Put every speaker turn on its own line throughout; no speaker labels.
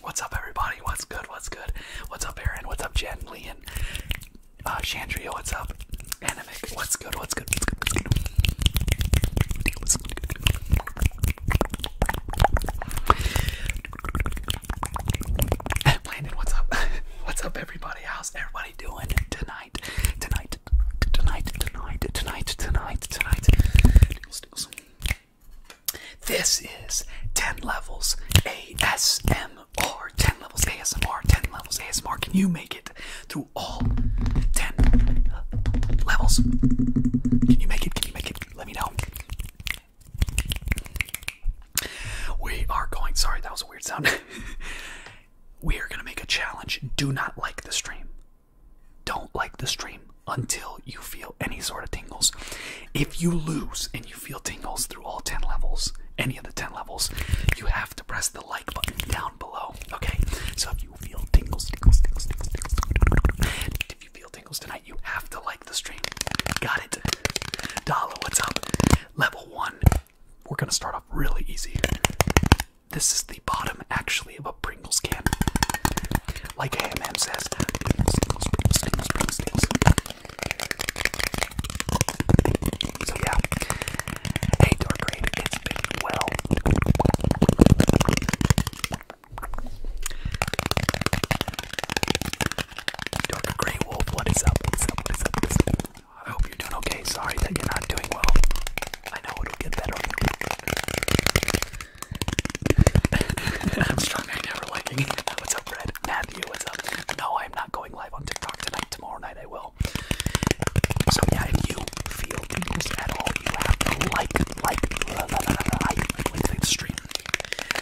What's up, everybody? What's good? What's good? What's up, Aaron? What's up, Jen? Leon? Chandria, uh, what's up? Animic, what's good? What's good? What's good? What's up? What's up, everybody? How's everybody doing tonight? Tonight, tonight, tonight, tonight, tonight, tonight. This is 10 Levels ASM or 10 levels ASMR, 10 levels ASMR. Can you make it through all 10 levels? Can you make it? Can you make it? Let me know. We are going, sorry, that was a weird sound. we are going to make a challenge. Do not like the stream. Don't like the stream until you feel any sort of tingles. If you lose and you feel tingles through all 10 levels, any of the 10 levels, you have to press the like button down below. Okay? So if you feel tingles, tingles, if you feel tingles tonight, you have to like the stream. Got it? Dala, what's up? Level 1. We're gonna start off really easy. This is the bottom, actually, of a Pringles can. Like AMM says, so yeah. Hey Dark Raid, it's been well. Dark Grey Wolf, what is up? What is up? What is up? I hope you're doing okay. Sorry that you're not doing well. I know it'll get better. I'm struggling never liking. What's up, Red? Matthew, what's up? No, I'm not going going live on TikTok tonight. Tomorrow night I will. So yeah, if you feel this at all, you have to like, like, la, la, la, la, like, like the stream.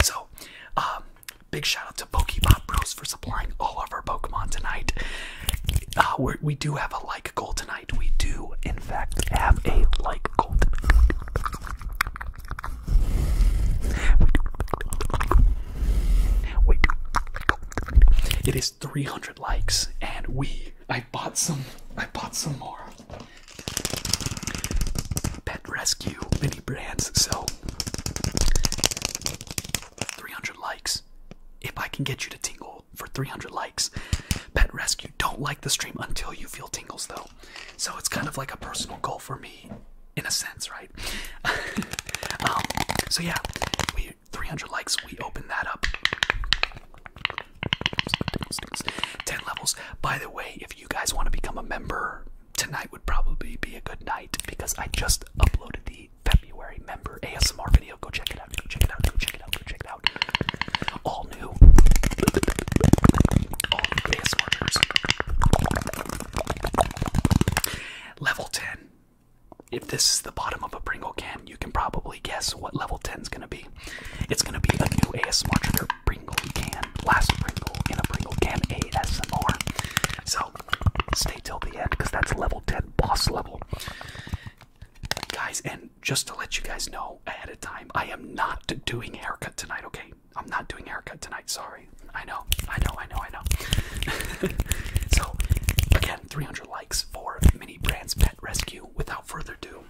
So, um, big shout out to Pokebot Bros for supplying all of our Pokemon tonight. Uh, we're, we do have a like goal tonight. We do, in fact, have a like goal. It is 300 likes and we I bought some I bought some more Pet Rescue mini brands so 300 likes if I can get you to tingle for 300 likes Pet Rescue don't like the stream until you feel tingles though so it's kind of like a personal goal for me in a sense, right? Um, so yeah, we 300 likes. We open that up. 10 levels. By the way, if you guys want to become a member, tonight would probably be a good night because I just uploaded the February member ASMR video. Go check it out. Go check it out. Go check it out. Go check it out. All new. All Level 10. If this is the bottom of a Pringle can, you can probably guess what level 10 is going to be. It's going to be a new ASMR a Pringle can. Last Pringle in a Pringle can ASMR. So stay till the end because that's level 10 boss level. Guys, and just to let you guys know ahead of time, I am not doing haircut tonight, okay? I'm not doing haircut tonight, sorry. I know, I know, I know, I know. so, again, 300 likes for Mini Brands Pet Rescue. Without further ado,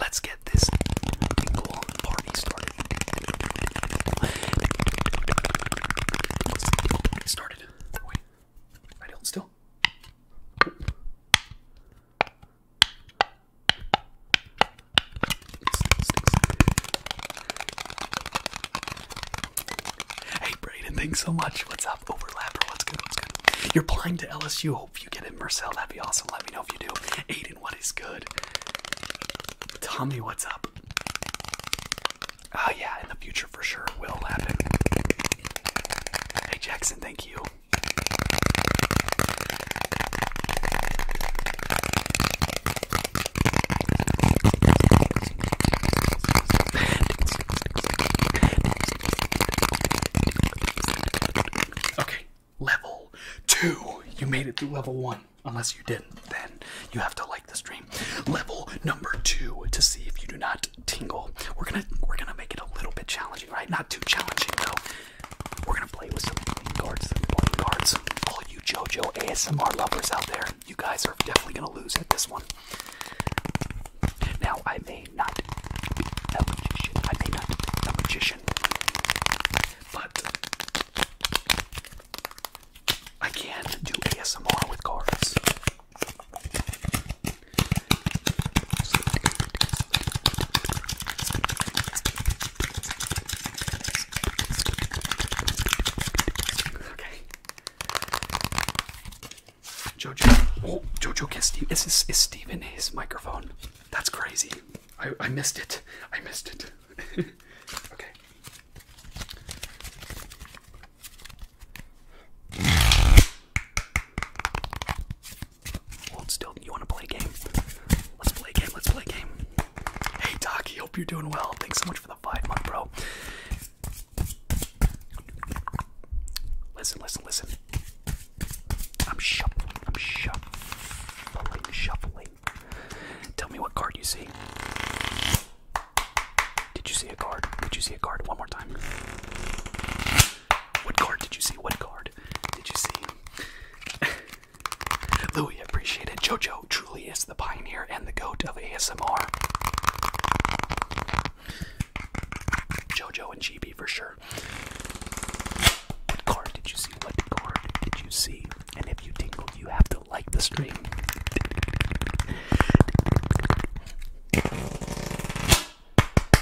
let's get this tingle party started. started. still. Hey Brayden, thanks so much. What's up? Overlap? what's good? What's good? You're applying to LSU. Hope you get in, Marcel. That'd be awesome. Let me know if you do. Aiden, what is good? Tommy, what's up? Oh yeah, in the future for sure it will happen. Hey Jackson, thank you. Okay, level two. You made it through level one. Unless you didn't, then you have to like the stream. Level number two to see if you do not tingle. We're gonna we're gonna make it a little bit challenging, right? Not too challenging though. We're gonna play with some cards, cards. All you JoJo ASMR lovers out there, you guys are definitely going to lose at this one. Now, I may not be a magician. I may not be a magician. But I can do ASMR with cards. Okay. Jojo, oh, Jojo kissed you. this is Steven his microphone? That's crazy. I missed it. I missed it. okay. Hold still. You want to play game? Let's play game. Let's play game. Hey Taki, hope you're doing well. Thanks so much for the five month, bro. Listen, listen, listen. I'm shuffling. I'm shuffling. Shuffling. Tell me what card you see. Did you see a card? Did you see a card? One more time. What card did you see? What card did you see? Louis, appreciated. Jojo, truly is the pioneer and the goat of ASMR. JoJo and GB for sure. What card did you see? What card did you see? And if you tingled, you have to like the stream.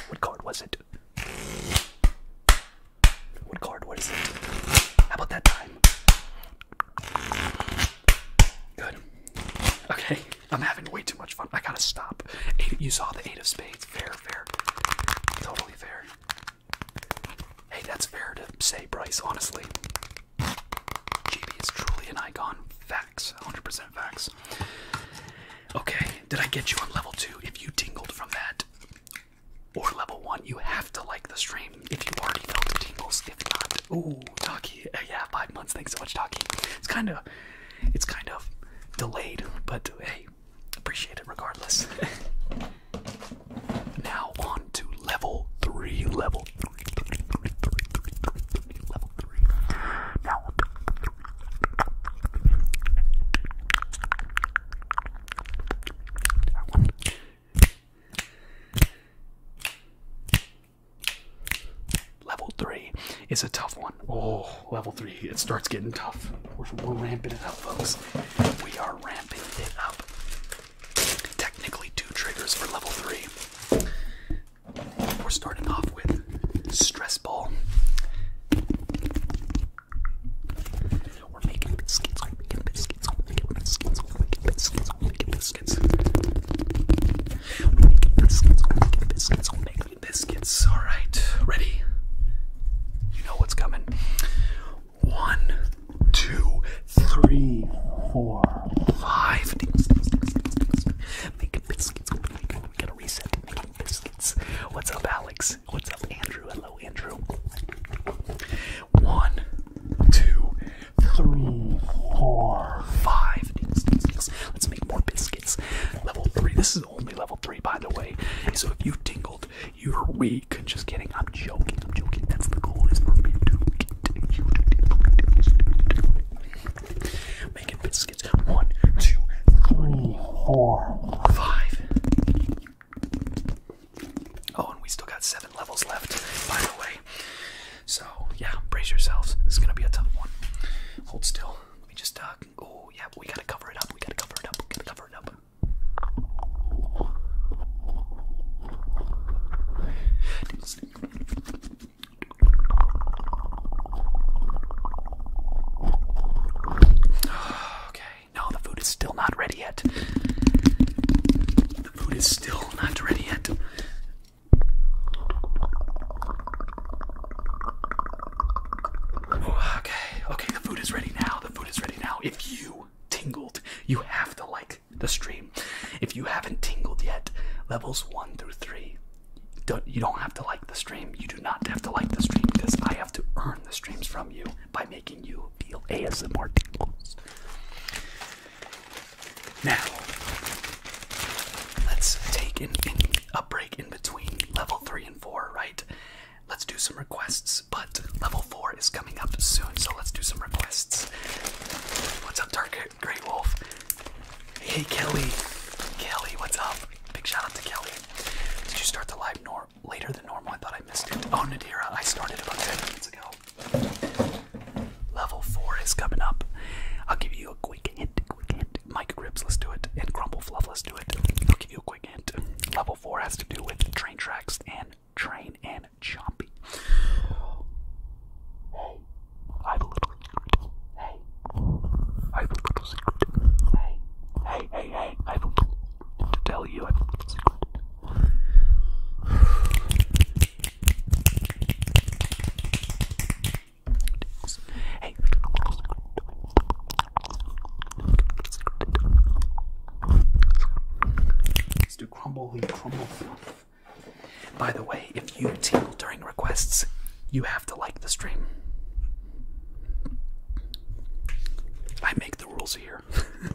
What card was it? What card What is it? How about that time? Good. Okay, I'm having way too much fun. I gotta stop. you saw the eight of spades. Fair, fair. Totally fair. Hey, that's fair to say, Bryce, honestly. GB is truly an icon. Facts. 100% facts. Okay, did I get you on level 2? If you tingled from that, or level 1, you have to like the stream if you already felt the tingles. If not, oh, Taki, uh, yeah, five months. Thanks so much, Taki. It's kind of, it's kind of delayed, but hey, appreciate it regardless. now on to level three. Level three. three, three, three, three, three, three level three. Now. Level three is a tough one. Oh, level three, it starts getting tough. We're, ramping it up, folks. We are ramping it up. Technically, two triggers for level three. We're starting off with Stress Ball. We're making biscuits, we're making biscuits biscuits, we're making biscuits, we're making biscuits, we're making biscuits. We're making biscuits, we're making biscuits, we're making biscuits. Alright, ready? You know what's coming. One, two, three, four, five. Making biscuits, we gotta reset. Making biscuits. What's up, Alex? What's up, Andrew? Hello, Andrew. One, two, three, four, five Let's make more biscuits. Level three. This is only level three, by the way. So if you tingled, you're weak. Just kidding. I'm joking. I'm joking. That's the goal is to get you Making biscuits. One, two, three, four, five. Oh, and we still got seven levels left, by the way. So, yeah, brace yourselves. This is going to be a tough one. Hold still. Let me just, uh, oh, yeah, we got to cover it up. We got to cover it up. We got to cover it up. Okay, no, the food is still not ready yet. The food is still not ready yet. Okay, okay, the food is ready now. The food is ready now. If you tingled, you have to like the stream. If you haven't tingled yet, levels one through 3 you don't have to like the stream. You do not have to like the stream because I have to earn the streams from you by making you feel ASMR tingles. Now, let's take a break in between level 3 and 4, right? Let's do some requests, but level 4 is coming up soon, so let's do some requests. What's up, Dark Grey Wolf? Hey, Kelly. Kelly, what's up? Big shout out to Kelly. Did you start the live nor later than normal? I thought I missed it. Oh, Nadira, I started about 10 minutes ago. Level four is coming up. I'll give you a quick hint, Mike Grips, let's do it. And Grumble Fluff, let's do it. I'll give you a quick hint. Level four has to do with train tracks and train and chompy. I have a little secret. Hey, I have a little secret. Hey, hey, hey, hey, I have a little to tell you. Hey. let crumble and crumble By the way, if you tingle during requests, you have to like the stream. I make the rules here.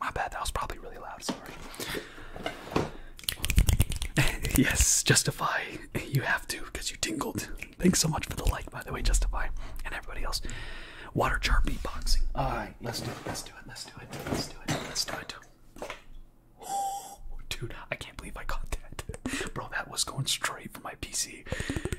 My bad, that was probably really loud, sorry. yes, Justify, you have to because you tingled. Thanks so much for the like, by the way, Justify, and everybody else. Water jar beatboxing. Alright, let's do it, let's do it, let's do it, let's do it, let's do it. dude, I can't believe I caught that. Bro, that was going straight for my PC.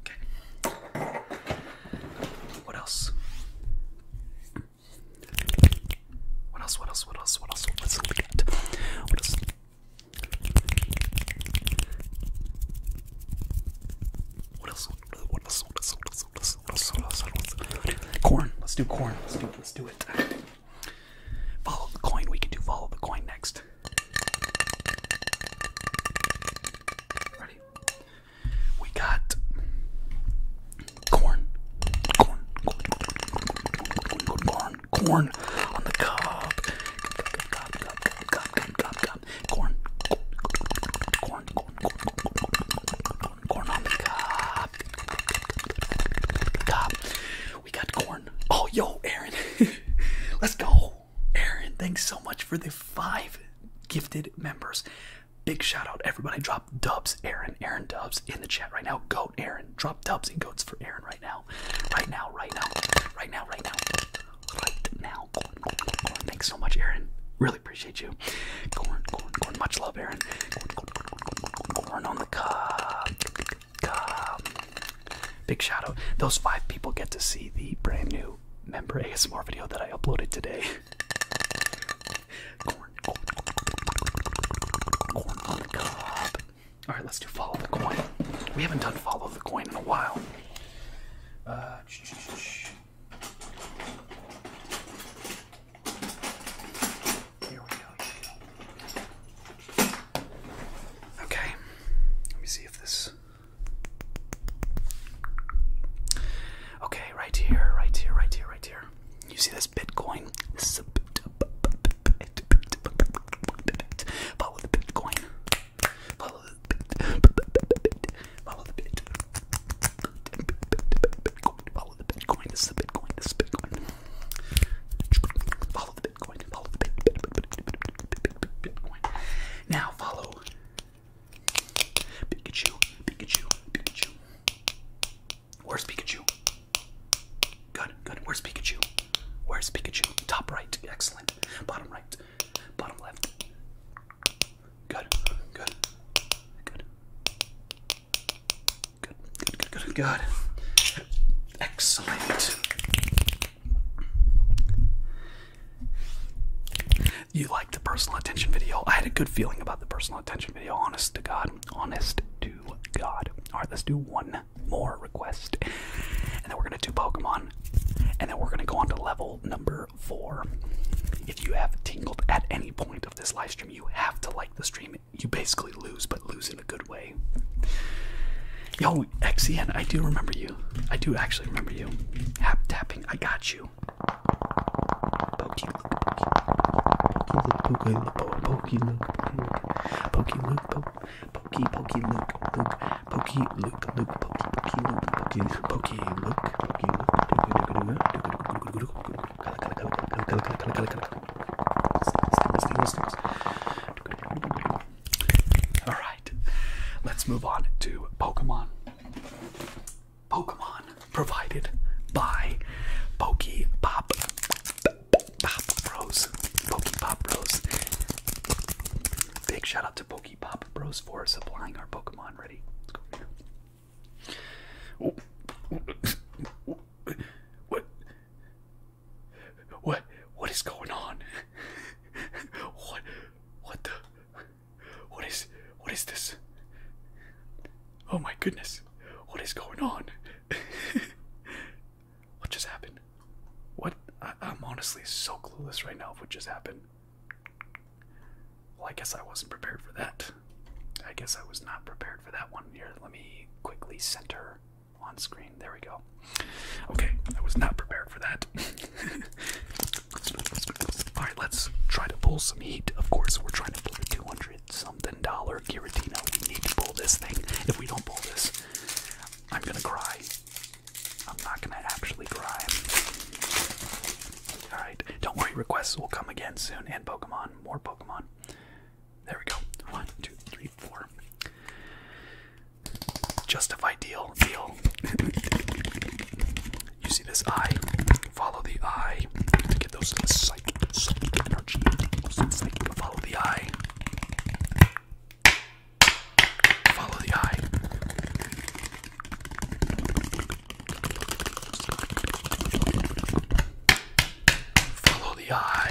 Okay. What else? What else? What else? What else? What else? What's the lead? What else? What else? What else? What else? What else? What else? What else? What else? What else? Corn. Let's do corn. Let's do. Let's do it. Follow the coin. We can do follow the coin next. Ready? We got corn. Corn. Corn. Corn. Corn. Corn on the cup. Cup. Cup. Cup. Cup. Cup. Cup. Cup. Corn. Corn. Corn. Corn. Corn. Corn on the cup. Cup. We got corn. Oh, yo, Aaron. Let's go. Aaron, thanks so much for the five gifted members. Big shout out, everybody. Drop dubs, Aaron. Aaron dubs in the chat right now. Goat Aaron. Drop dubs and goats for Aaron right now. Right now, right now, right now, right now. Right now. Corn, corn, corn, corn. Thanks so much, Aaron. Really appreciate you. Corn, corn, corn. Much love, Aaron. Corn, corn, corn, corn, corn, corn, corn on the cob. Cob. Big shout out. Those five people get to see the brand new member ASMR video that I uploaded today. Alright, let's do follow the coin. We haven't done follow the coin in a while. Uh, here we go. Okay, let me see if this Okay, right here, right here, right here, right here. You see this Bitcoin? This is a bit, follow the Bitcoin. Follow the bit. Follow the bit. Follow the Bitcoin. This is a Bitcoin. This is Bitcoin. Follow the Bitcoin. Now follow Pikachu, Pikachu, Pikachu. Where's Pikachu? Good, good. Where's Pikachu? Where's Pikachu? Top right, excellent. Bottom right, bottom left. good, good, good, good, good, good. good. Excellent. You liked the personal attention video? I had a good feeling about the personal attention video, honest to God. Honest to God. Alright, let's do one more request. And then we're going to do Pokemon. And then we're going to go on to level number four. If you have tingled at any point of this live stream, you have to like the stream. You basically lose, but lose in a good way. Yo, XN, I do remember you. I do actually remember you. Hap tapping, I got you. Pokey
look, pokey look,
pokey look, pokey look, pokey pokey look, look, pokey look, look, pokey pokey look, pokey pokey look, pokey look, all right, let's move on to Pokemon. Pokemon provided by Pokey Pop Bros. Pokey Pop Bros. Big shout out to Pokey Pop Bros for supplying our Pokemon. Ready? What? What? What is going on? what? What the? What is? What is this? Oh my goodness! What is going on? what just happened? What? I, I'm honestly so clueless right now of what just happened. Well, I guess I wasn't prepared for that. I guess I was not prepared for that one. Here, let me quickly center on screen. There we go. Okay, I was not prepared for that. All right, let's try to pull some heat. Of course, we're trying to pull the 200 something dollar Giratino. We need to pull this thing. If we don't pull this, I'm gonna cry. I'm not gonna actually cry. All right, don't worry. Requests will come again soon, and Pokemon, more Pokemon. There we go. One, two, three, four. Justify deal, deal. you see this eye? Follow the eye get those psychic, energy. Follow the eye. Follow the eye. Follow the eye.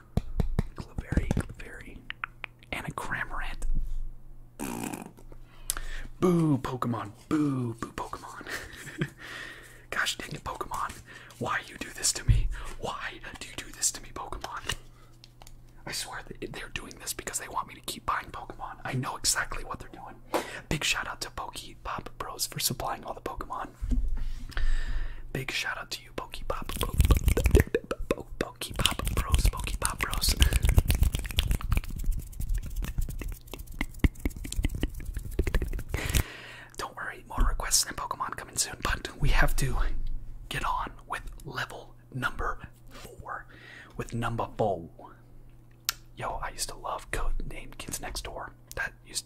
Claveri, Claveri, and Boo, Pokemon. Boo, boo, Pokemon. Gosh dang it, Pokemon. Why you do this to me? Why do you do this to me, Pokemon? I swear they're doing this because they want me to keep buying Pokemon. I know exactly what they're doing. Big shout out to Pokey Pop Bros for supplying all the Pokemon one. Big shout out to you, Pokepop, Pokepop Bros, Pokepop Bros. Don't worry, more requests and Pokemon coming soon, but we have to get on with level number four. With number four. Yo, I used to love code named Kids Next Door. That used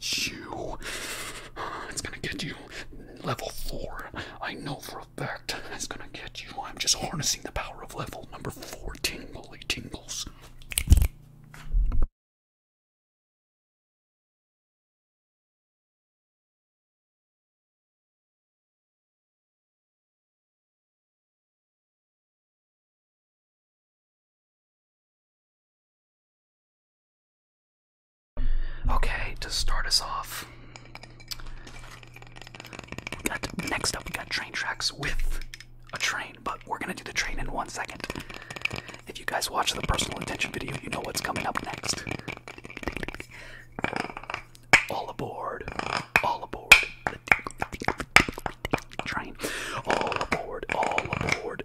you. It's gonna get you level four. I know for a fact it's gonna get you. I'm just harnessing the power of level number four tingly
tingles. Okay, to start us
off, we got next up we got train tracks with a train, but we're gonna do the train in one second. If you guys watch the personal attention video, you know what's coming up next. All aboard, all aboard the train. All aboard, all aboard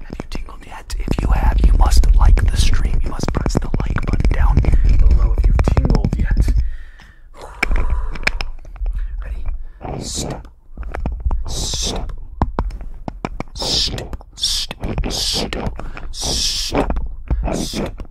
Have you tingled yet? If you have, you must like the stream. You must press the like button down below if you've tingled yet. Ready? Step. Step.
Step. Step. Step. Step. Step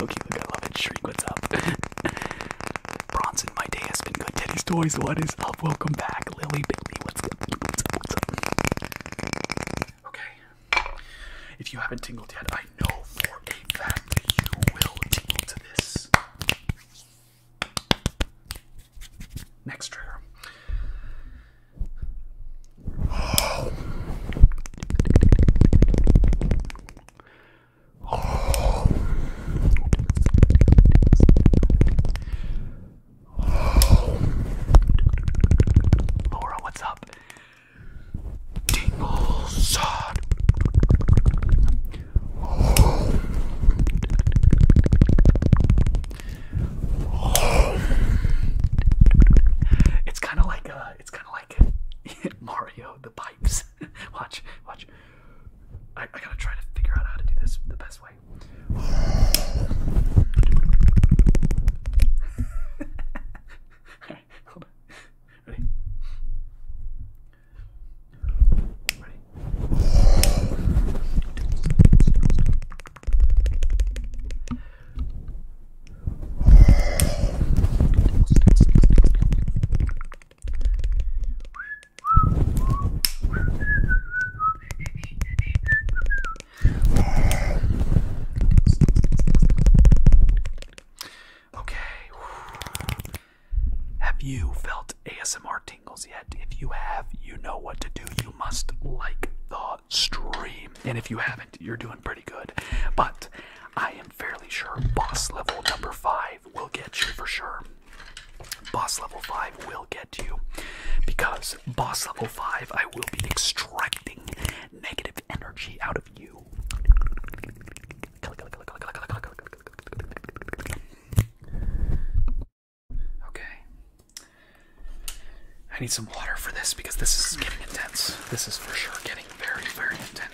Loki, look, I love it. Shriek, what's up? Bronson, my day has been good. Teddy's Toys, what is up? Welcome back. Lily, Bailey, what's up? What's up? Okay. If you haven't tingled yet, I know for a fact that you will to this. Next trigger. Laura, what's up? Tingles. It's kind of like uh, it's kind of like Mario the pipes. watch, watch. I, gotta try to figure out how to do this the best way. hold on. Ready? Ready? Okay. Have you felt ASMR tingles yet? If you have, you know what to do. You must like the stream. And if you haven't, you're doing pretty good. But I am fairly sure boss level number five will get you for sure. Boss level five will get you because boss level five, I will be extracting negative energy out of you. Okay. I need some water for this because this is getting intense. This is for sure getting very, very intense.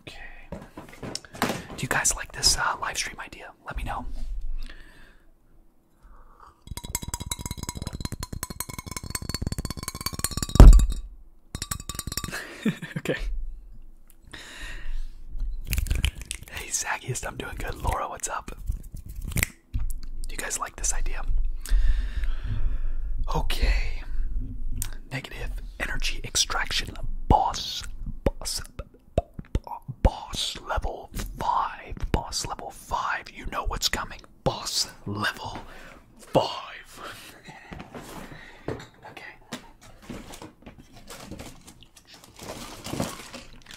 Okay. Do you guys like this uh, live stream idea? Let me know. okay. Hey, Zaggiest, I'm doing good. Laura, what's up? Do you guys like? like this idea. Okay. Negative energy extraction boss boss boss level 5 boss level 5 you know what's coming boss level 5 Okay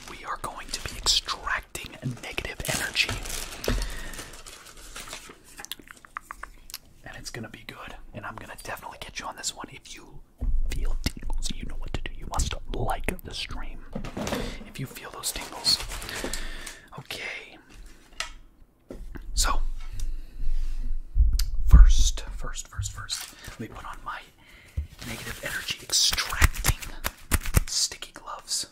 We are going to be extracting negative energy and it's gonna be good. And I'm gonna definitely get you on this one. If you feel tingles, you know what to do. You must like the stream if you feel those tingles. Okay. So, first, first, first, first, let me put on my negative energy extracting sticky gloves.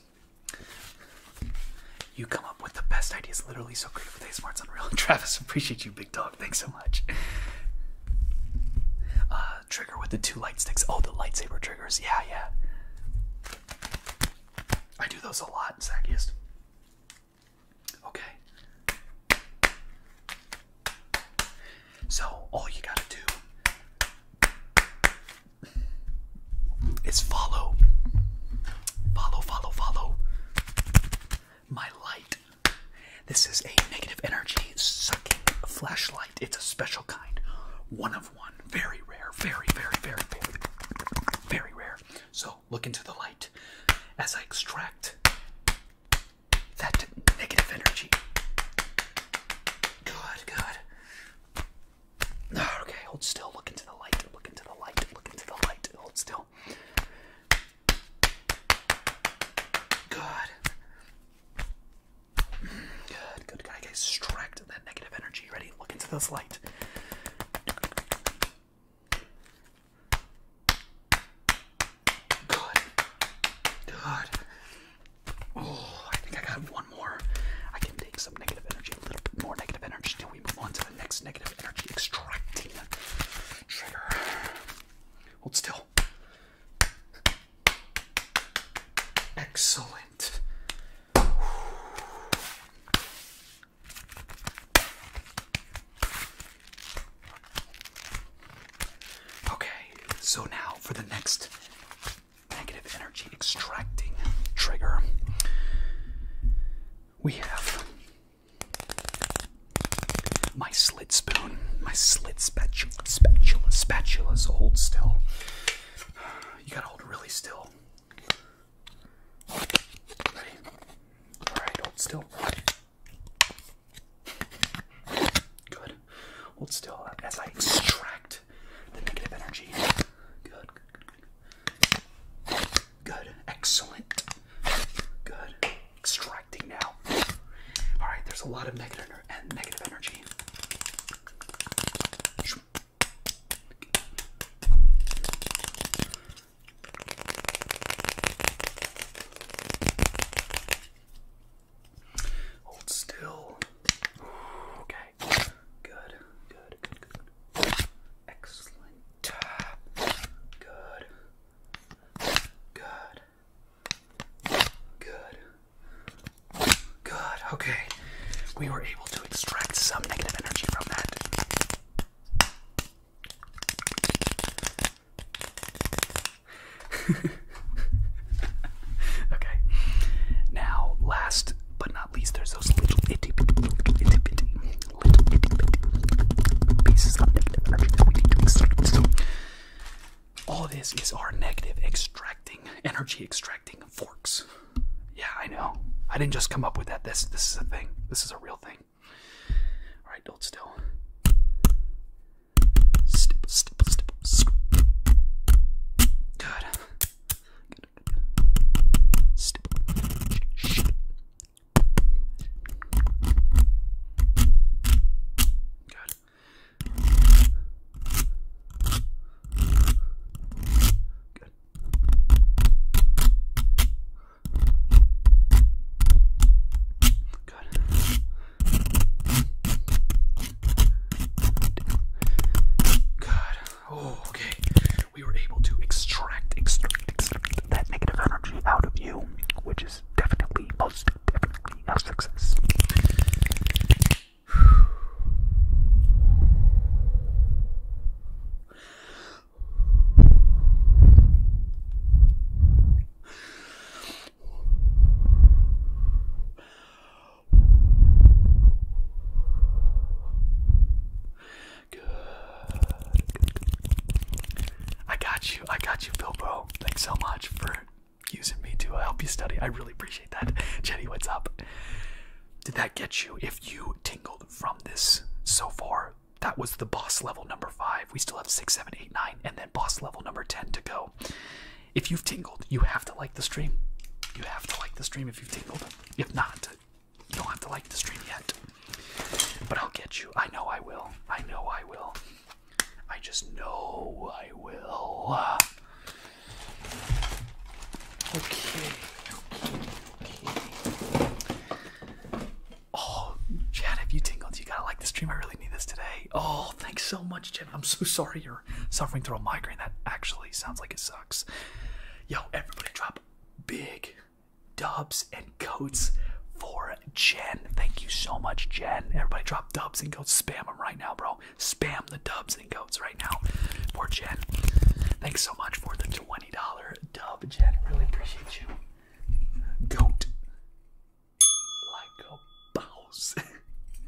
You come up with the best ideas, literally so creative with ASMR, it's unreal. Travis, appreciate you, big dog. Thanks so much. Uh, trigger with the two light sticks. Oh, the lightsaber triggers. Yeah, yeah. I do those a lot, Zackiest. Okay. So all you gotta do is follow. Follow, follow, follow my light. This is a negative energy sucking flashlight. It's a special kind. One of one. Very rare. Very, very, very, very, very rare. So look into the light as I extract that negative energy. Good, good. Okay, hold still. Look into the light. Look into the light. Look into the light. Hold still. Good. Good, good. Gotta extract that negative energy. Ready? Look into this light. Good. Good. Oh, I think I got one more. I can take some negative energy, a little bit more negative energy till we move on to the next negative energy extracting trigger. Hold still. Excellent. Okay, so now for the next negative energy extracting trigger we have my slit spoon, my slit spatula, spatula, spatulas. hold still. You gotta hold really still. Ready? All right, hold still. Good. Hold still as I extract the negative energy. Good. Good. Excellent. Good. Extracting now. All right. There's a lot of negative and negative energy. Hold still. Okay. Good. Good. Good. Excellent. Good. Good. Good. Good. Okay. We were able to extract some negative energy from that. okay. Now, last but not not least, there's those little itty bitty, all this is our negative extracting, energy extracting forks. Yeah, I know. I didn't just come up with that. This, this is a thing. This is a real thing. All right, hold still.
Stip, stip, stip, stip. Good. Good, shh. Good. Good.
Good. Good. Oh, okay we were able to extract, extract, extract that negative energy out of you, which is definitely, most definitely a success. Good. I got you. I got you, Phil Bro. Thanks so much for using me to uh, help you study. I really appreciate that. Jenny, what's up? Did that get you? If you tingled from this so far, that was the boss level number five. We still have six, seven, eight, nine, and then boss level number 10 to go. If you've tingled, you have to like the stream. You have to like the stream if you've tingled. If not, you don't have to like the stream yet. But I'll get you. I know I will. I know I will. I just know I will. Okay. Okay. Okay. Oh, Chad, have you tingled? You gotta like the stream. I really need this today. Oh, thanks so much, Chad. I'm so sorry you're suffering through a migraine. That actually sounds like it sucks. Yo, everybody drop big dubs and coats for Jen. Thank you so much, Jen. Everybody drop dubs and goats. Spam them right now, bro. Spam the dubs and coats right now for Jen. Thanks so much for the $20 dub, Jen. Really appreciate you. Goat. Like a boss.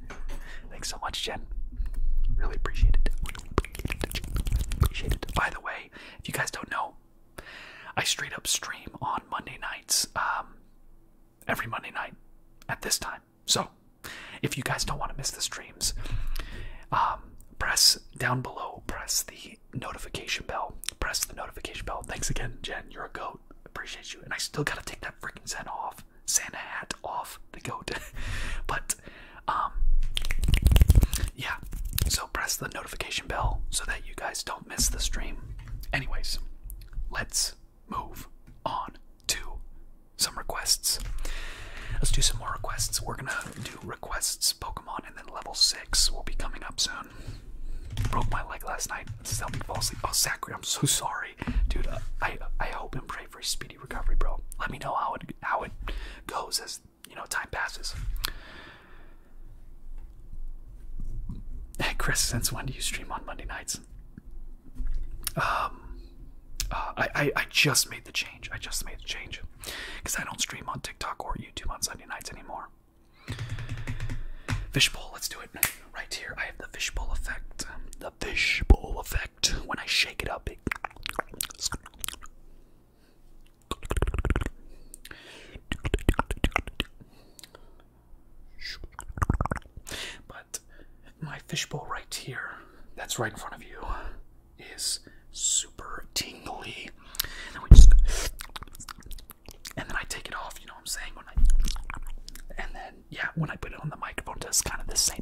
Thanks so much, Jen. Really appreciate it. Appreciate it. By the way, if you guys don't know, I straight up stream on Monday nights, um, every Monday night at this time. So, if you guys don't want to miss the streams, um, press down below, press the notification bell, press the notification bell. Thanks again, Jen. You're a goat. Appreciate you. And I still gotta take that freaking Santa off, Santa hat off the goat. but, um, yeah. So press the notification bell notification bell so that you guys don't miss the stream. Anyways, let's move on to some requests. Let's do some more requests. We're gonna do requests Pokemon and then level 6 will be coming up soon. Broke my leg last night. This is helping me fall asleep. Oh, Zachary, I'm so sorry. Dude, I, I hope and pray for a speedy recovery, bro. Let me know how it, how it goes as you know, time passes. Hey, Chris, since when do you stream on Monday nights? Um, uh, I, I, just made the change. I just made the change because I don't stream on TikTok or YouTube on Sunday nights anymore. Fishbowl, let's do it right here. I have the fishbowl effect. The fishbowl effect. When I shake it up, but my fishbowl right here, that's right in front of you, is super tingly. And then I take it off, you know what I'm saying? and then yeah, when I put it on the microphone, it does kind of the same.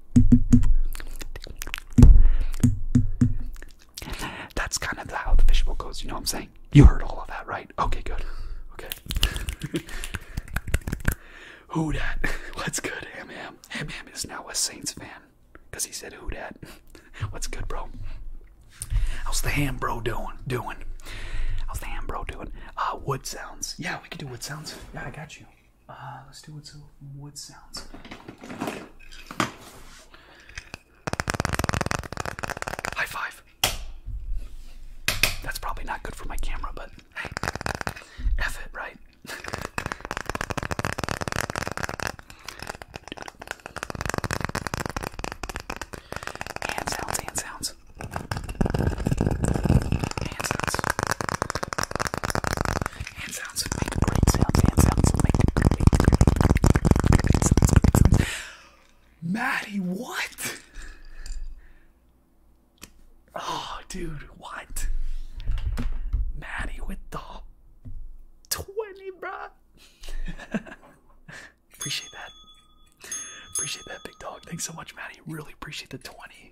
That's kind of how the visual goes, you know what I'm saying? You heard all of that, right? Okay, good. Okay. Who dat? What's good, Ham Ham? is now a Saints fan. Cause he said who dat. What's good, bro? How's the ham bro doing? Doing? How's the ham bro doing? Uh, wood sounds. Yeah, we could do wood sounds. Yeah, I got you. Ah, let's do what sounds. High five. That's probably not good for my camera, but F it, right? hand sounds. Hand sounds hand sounds make great sounds, hand sounds make great, great, sounds, great Maddie, what? Oh, dude, what? Maddie with the 20, bro. appreciate that. Appreciate that, big dog. Thanks so much, Maddie. Really appreciate the 20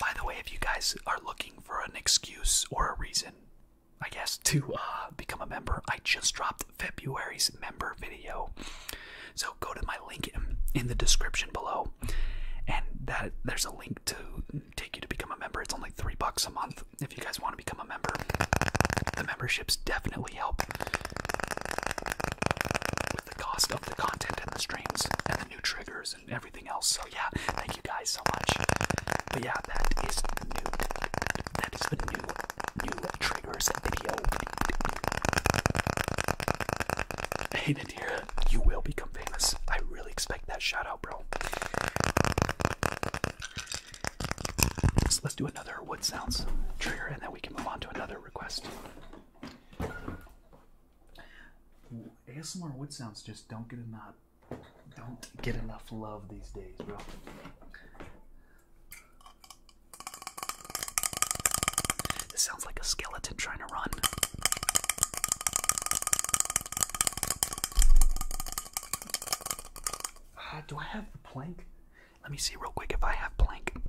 By the way, if you guys are looking for an excuse or a reason, I guess, to uh, become a member, I just dropped February's member video. So go to my link in, in the description below, and that there's a link to take you to become a member. It's only three bucks a month if you guys want to become a member. The memberships definitely help with the cost of the content and the streams and the new triggers and everything else. So yeah, thank you guys so much. But yeah, that is the new that is the new new triggers video. Hey Nadira, you will become famous. I really expect that shout out, bro. let's do another wood sounds trigger and then we can move on to another request. ASMR wood sounds just don't get enough don't get enough love these days, bro. This sounds like a skeleton trying to run. Uh, do I have the plank?
Let me see real quick if I have plank.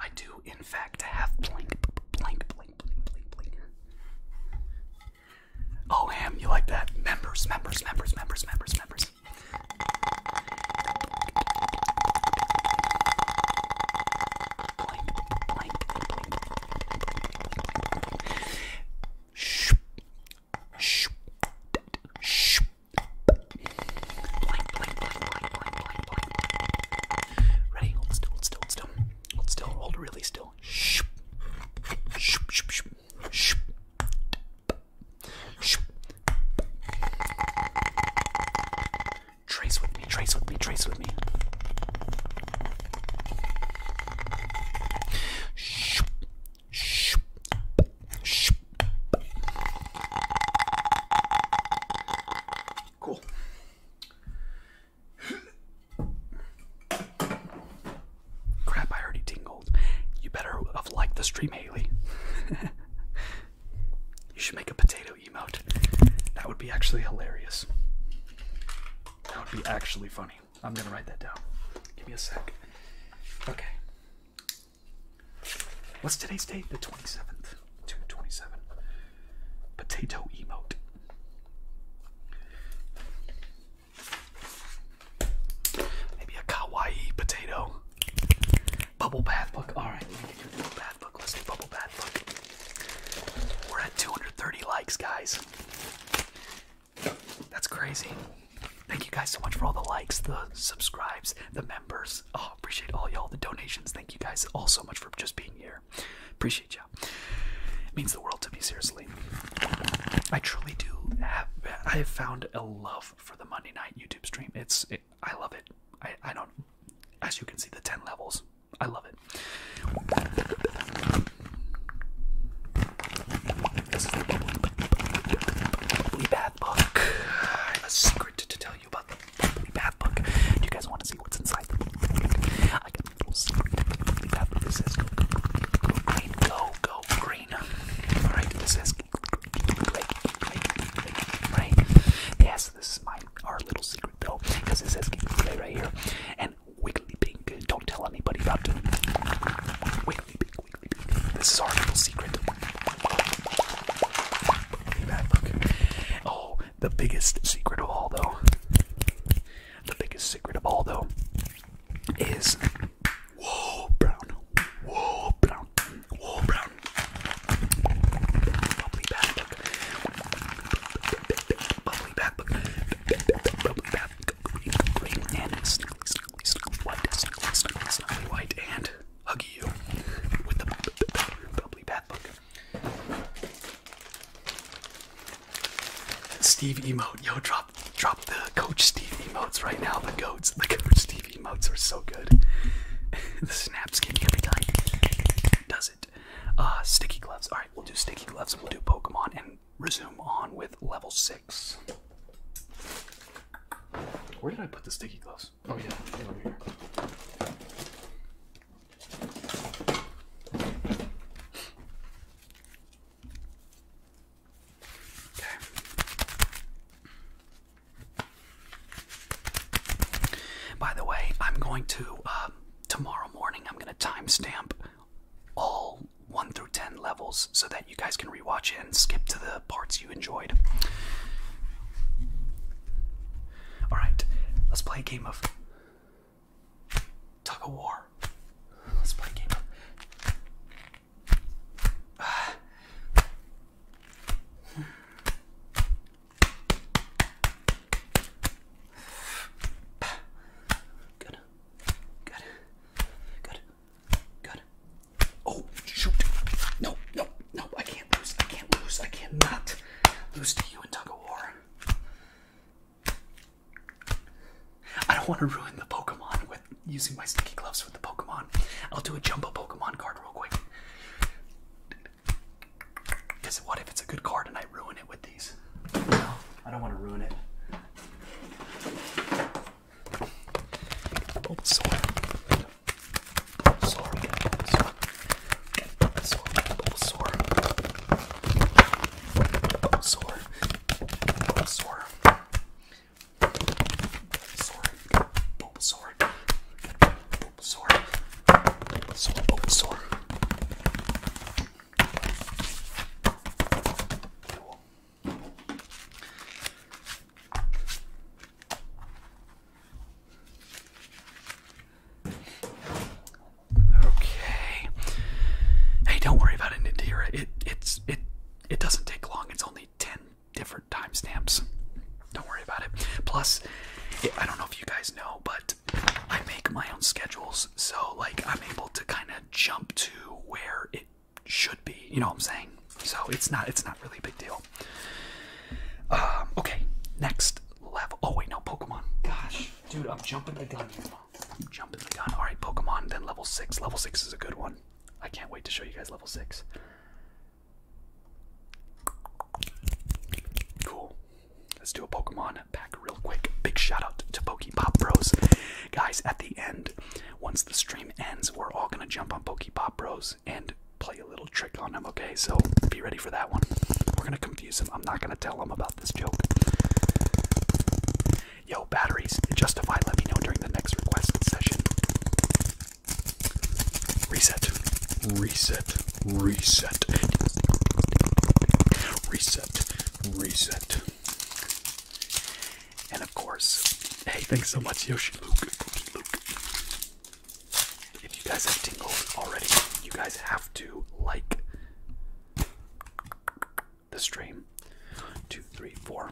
I do, in fact, have blank, blank, blank, blank, blank, blank. Oh, Ham, you like that? Members, members, members, members, members, members. Shh. Shh. Shh. Blank, blank, blank, blank, blank, blank, blank. Ready? Hold still, hold still, still. Hold still. Hold really still. Trace with me. Trace with me. Trace with me. Cool. Crap, I already tingled. You better have liked the stream, Haley. you should make a potato emote. That would be actually hilarious. That would be actually funny. I'm gonna write that down. Give me a sec. Okay. What's today's date? The 27th. 227. Potato emote. Maybe a kawaii potato. Bubble bath book. Alright, let me get you a bubble bath book. Let's do bubble bath book. We're at 230 likes, guys. That's crazy. Thank you guys so much for all the likes, the subscribes, the members. Oh, appreciate all y'all, the donations. Thank you guys all so much for just being here here. Appreciate y'all. It means the world to me, seriously. I truly do I have found a love for the Monday night YouTube stream. It's, I love it. I, I don't, as you can see, the 10 levels. I love it. This is Book. I have a secret to tell you about Bubbly Book. Do you guys want to see what's inside the book? I got a little secret Bubbly Book. It says go, go, go, go green, go, go green. Alright, this says right? Yes, this is my our little secret though, because it says play right here. And Wiggly Pink, don't tell anybody about it. Wiggly Pink, Wiggly Pink. This is our little secret. Bath book. Oh, the biggest secret of all, though, the biggest secret of all, though, is whoa, brown, whoa, brown, whoa, brown. Bubbly bath book. Bubbly bath book. Bubbly bath green, green, and snuggly, snuggly, snuggly white, snuggly, snuggly, snuggly white, and huggy you with the bubbly bath book. Steve emote, yo, drop drop the Coach Steve emotes right now. The goats, the Coach Steve emotes are so good. the snaps skin every time does it. Uh, sticky gloves. All right, we'll do sticky gloves and we'll do Pokemon and resume on with level six. Where did I put the sticky gloves? Oh yeah, over here. By the way, I'm going to uh, tomorrow morning. I'm going to timestamp all one through ten levels so that you guys can rewatch it and skip to the parts you enjoyed. All right, let's play a game of Tug of war. Let's play a game. Good. Good. Good. Good. Oh, shoot. No, no, no. I can't lose. I can't lose. I cannot lose to you in tug of war. I don't want to ruin the Pokemon with using my sticky gloves with the Pokemon. I'll do a jumbo Pokemon card real quick. Because what if it's a good card and I ruin it with these? No, I don't want to ruin it. Bulbasaur. Bulbasaur. Bulbasaur. Bulbasaur, Bulbasaur, Bulbasaur, Bulbasaur, Bulbasaur, Bulbasaur, Bulbasaur, Bulbasaur, Bulbasaur. Cool. Okay. Hey, don't worry about it, Nadira. It it's it it doesn't take long. It's only ten different timestamps. Don't worry about it. Plus, I don't know if you guys know, but I make my own schedules, so like I'm able to kind of jump to where it should be. You know what I'm saying? So it's not it's not really a big deal. Um, okay, next level. Oh wait, no, Pokemon. Gosh, dude, I'm jumping the gun. I'm jumping the gun. All right, Pokemon. Then level six. Level six is a good one. I can't wait to show you guys level six. Cool. Let's do a Pokemon pack real quick. Big shout out to Pokepop Bros. Guys, at the end, once the stream ends, we're all gonna jump on Pokepop Bros and play a little trick on them. Okay, so be ready for that one. We're gonna confuse him. I'm not gonna tell them about this joke. Yo, batteries, justify, let me know during the next request session. Reset. Reset. Reset. Reset. Reset. And of course, hey, thanks so much, Yoshi Luke. Luke. If you guys have tingled already, you guys have to like the stream. Two, three, four.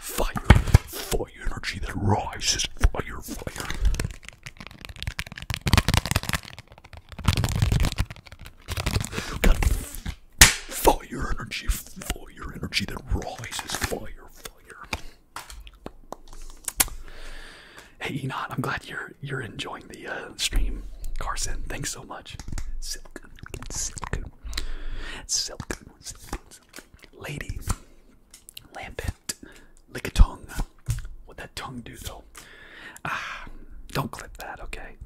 Fire, fire energy that rises. Fire, fire. Got fire energy, fire energy that rises. Fire, fire. Hey Enot, I'm glad you're you're enjoying the uh, stream. Carson, thanks so much. Silk, silk, silk, silk, silk. lady, lick a tongue. What that tongue do though? Ah, don't clip that, okay?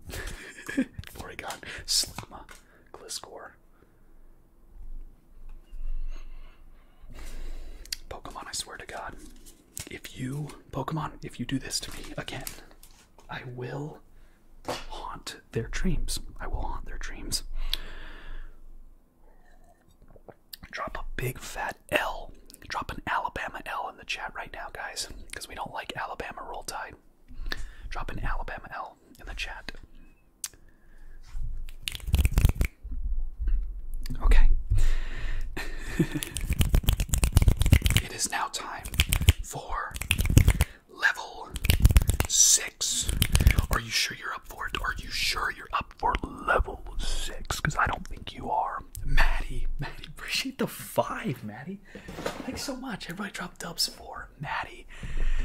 Porygon, Slugma, Gliscor, Pokemon, I swear to God, if you, Pokemon, if you do this to me again, I will haunt their dreams. I will haunt their dreams. Drop a big fat L. Drop an Alabama L in the chat right now, guys, because we don't like Alabama Roll Tide. Drop an Alabama L in the chat. Okay. it is now time for level six. Are you sure you're up for it? Are you sure you're up for level six? Because I don't think you are. Maddie, Maddie, appreciate the five, Maddie. Thanks so much. Everybody dropped dubs for Maddie.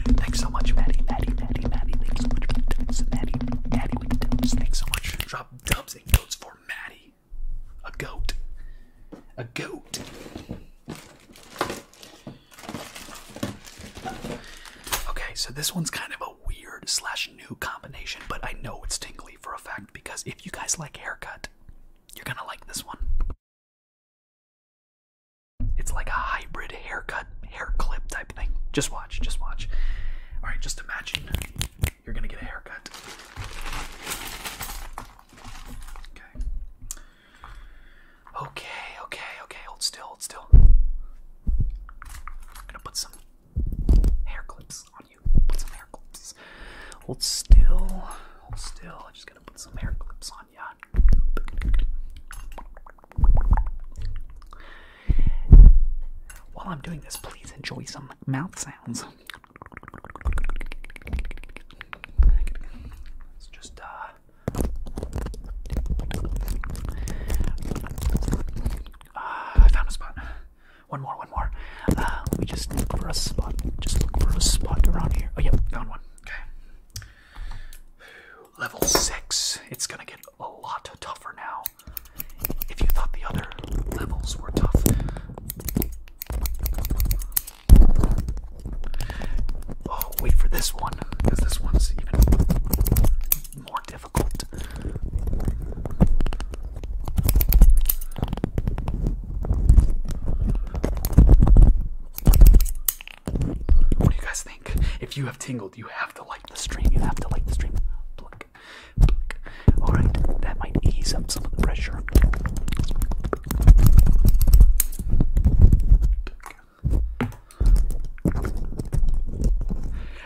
Thanks so much, Maddie, Maddie, Maddie, Maddie. Thanks so much for Maddie, Maddie. Thanks so much. Drop dubs and goats for Maddie. A goat. A goat. Okay, so this one's kind of a weird slash new combination, but I know it's tingly for a fact because if you guys like haircut, you're gonna like this one. It's like a hybrid haircut hair clip type thing. Just watch, just watch. All right, just imagine you're gonna get a haircut. Okay. Okay, okay, Hold still, hold still. I'm gonna put some hair clips on you. Put some hair clips. Hold still, hold still. I'm just gonna put some hair clips on you. While I'm doing this, please enjoy some mouth sounds. It's just, uh. uh I found a spot. One more, one more. Uh, let me just look for a spot. Just look for a spot around here. Oh, yep, found one. Okay level 6. It's gonna get a lot tougher now. If you thought the other levels were tough, oh, wait for this one, because this one's even more difficult. What do you guys if you have tingled, you have to like the stream. You have to like the stream. Alright, that might ease up some of the pressure.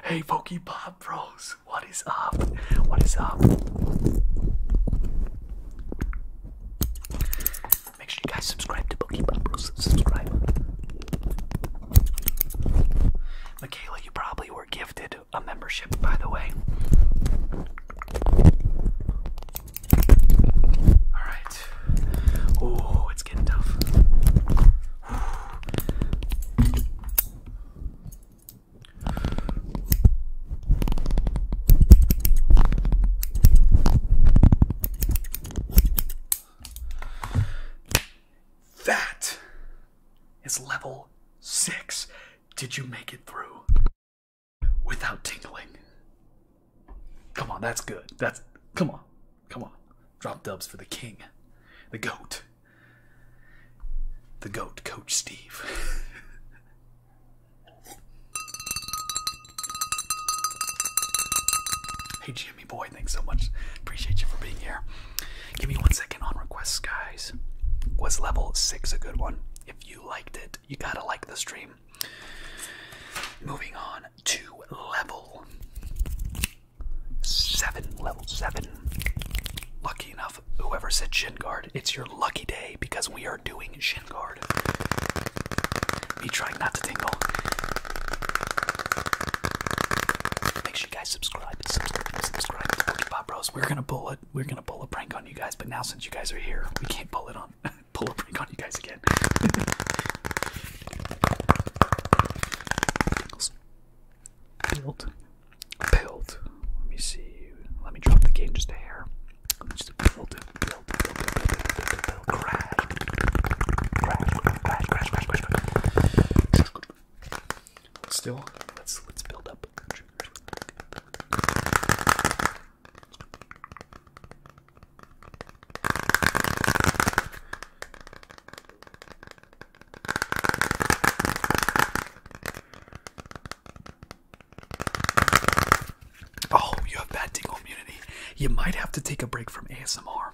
Hey, Pokey Pop Bros, what is up? What is up? Make sure you guys subscribe to Pokey Pop Bros. Subscribe. Michaela, you probably were gifted a membership, by the way. Alright. Oh, it's getting tough. That is level six. Did you make it through without tingling? Come on, that's good. That's come on, come on. Drop dubs for the king, the goat, the goat, Coach Steve. hey, Jimmy Boy. Thanks so much. Appreciate you for being here. Give me one second on requests, guys. Was level six a good one? If you liked it, you gotta like the stream. Moving on to level seven. Level seven. Lucky enough, whoever said shin guard, it's your lucky day because we are doing shin guard. Me trying not to tingle. Make guys subscribe subscribe subscribe to Forty Five We're gonna pull it. We're gonna pull a prank on you guys. But now since you guys are here, we can't pull it on. pull a prank on you guys again. Build, build. Let me see. Let me drop the game just a hair. Just build, build, build, build, build, build, build, build, crash, crash, crash, crash, crash, crash, crash. Still, let's let's build up Oh, you have bad tingle immunity. You might have to take a break from ASMR.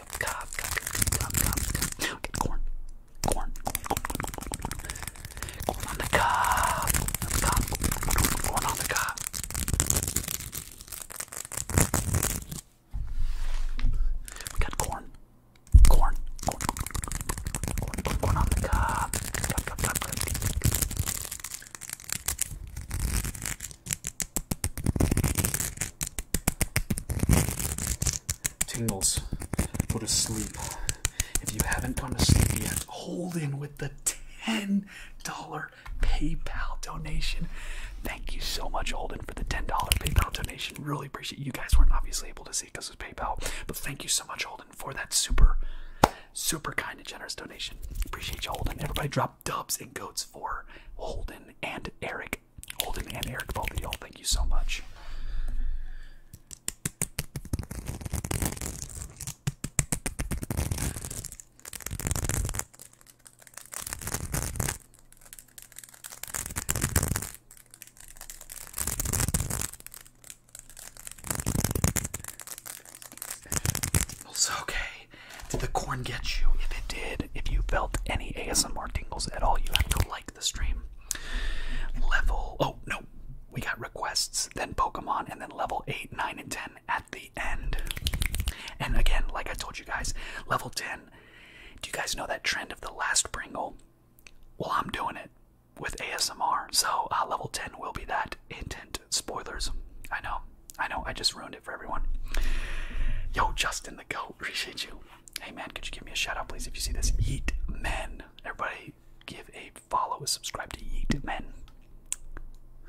cup, cup, cup, cup, cup, cup. Okay, corn. Corn. Corn on the cup. On the cup. Corn on the cup. We got corn. Corn. Corn. Corn, corn, corn on the cup. Cup, cup, cup, cup. Tingles, go to sleep. If you haven't gone to sleep yet, hold in with the $10 PayPal donation. Thank you so much, Holden, for the $10 PayPal donation. Really appreciate You guys weren't obviously able to see because it was PayPal, but thank you so much, Holden, for that super, super kind and generous donation. Appreciate you, Holden. Everybody drop dubs and goats for Holden and Eric Holden and Eric, both of y'all, thank you so much. Also, okay, did the corn get you? If it did, if you felt any ASMR tingles at all, you have to like the stream. Level, oh no, we got requests, then Pokemon, and then level 8, 9, and 10 at the end. And again, like I told you guys, level 10, do you guys know that trend of the last Pringle? Well, I'm doing it with ASMR, so uh, level 10 will be that intent. Spoilers. I know, I know, I just ruined it for everyone. Yo, Justin. Go, Appreciate you. Hey man, could you give me a shout out, please, if you see this? eat men. Everybody, give a follow, a subscribe to Eat men.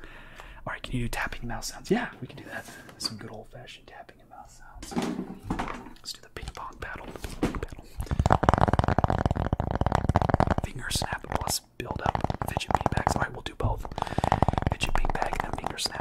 All right, can you do tapping mouth sounds? Yeah, we can do that. Some good old fashioned tapping and mouse sounds. Let's do the ping pong paddle. Finger snap plus build up fidget back. All right, we'll do both. Fidget back and finger snap.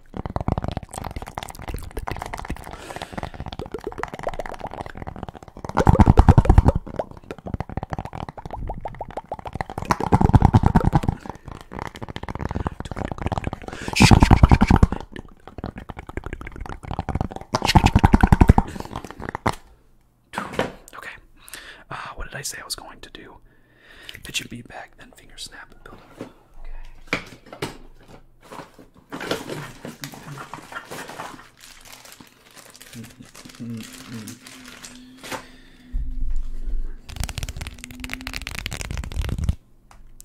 Okay.
Uh, what did I say I was going to do? That should be back, then finger snap, build up. Okay.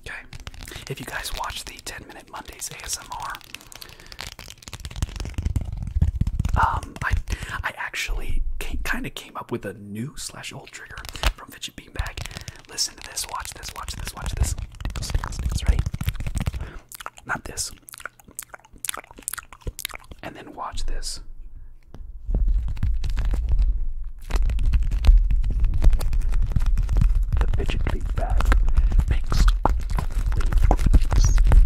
Okay. If you guys watch the 10 Minute Mondays ASMR, um, I I actually kind of came up with a new slash old trigger from Fidget huge Listen to this, watch this, watch this, watch this. Tickles, Not this. And then watch this. The fidget feedback makes all the same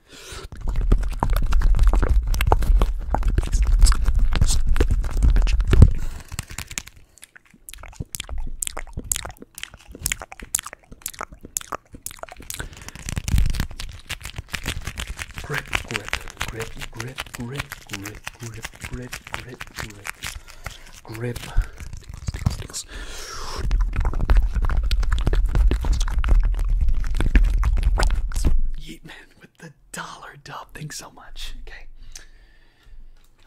Grip, grip, grip, grip, grip, grip, grip, grip, grip, grip, grip. Yeetman with the dollar dub. Thanks so much. Okay.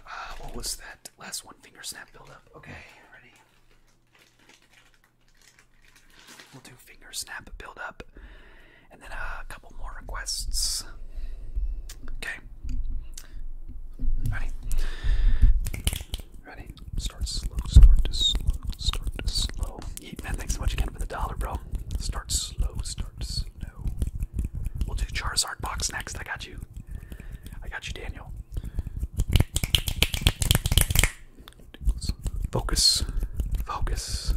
Uh, what was that last one? Finger snap buildup. Okay, ready. We'll do finger snap buildup, and then a couple more requests. Okay. Ready. Ready? Start slow, start to slow, start to slow. Yeet, man, thanks so much again for the dollar, bro. Start slow, start slow. We'll do Charizard box next. I got you. I got you, Daniel. Focus, focus,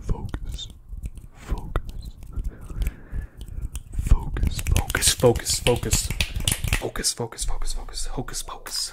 focus, focus, focus, focus, focus, focus, focus, focus, focus, focus, hocus pocus.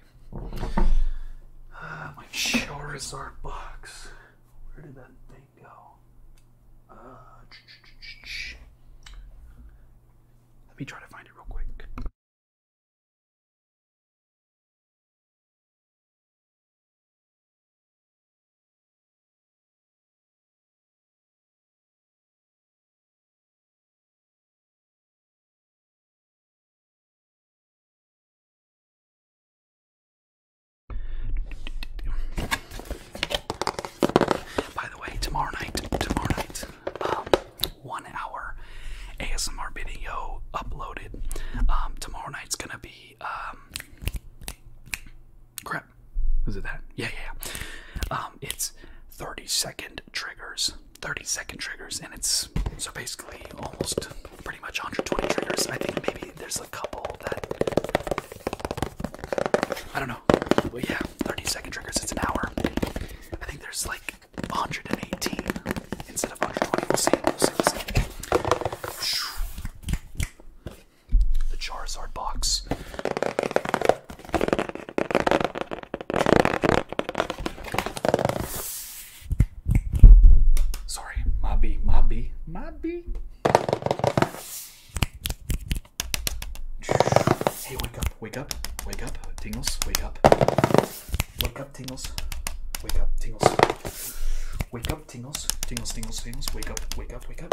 Uh, my Charizard box. Where did that thing go? Uh, let me try to find it real quick. By the way, tomorrow night, tomorrow night, um, one hour ASMR video uploaded. Um, tomorrow night's gonna be um, crap. Was it that? Yeah, yeah. it's thirty second triggers. 30 second triggers, and it's so basically almost pretty much 120 triggers. I think maybe there's a couple that I don't know. Well, yeah, 30 second triggers. It's an hour. I think there's like 118 instead of 120. We'll see. We'll see. We'll see. The Charizard box. Sorry, Mobby, Mobby, Mobby. Hey, wake up, wake up, wake up, tingles, wake up. Wake up, tingles, wake up, tingles. Wake up, tingles, tingles, tingles, tingles, wake up, wake up, wake up.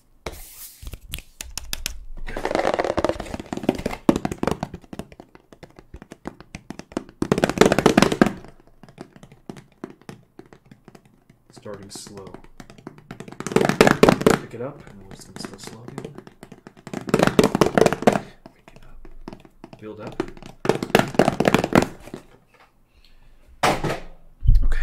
Starting slow. Pick it up, and we're just going to start slow again. Pick it up. Build up. Okay.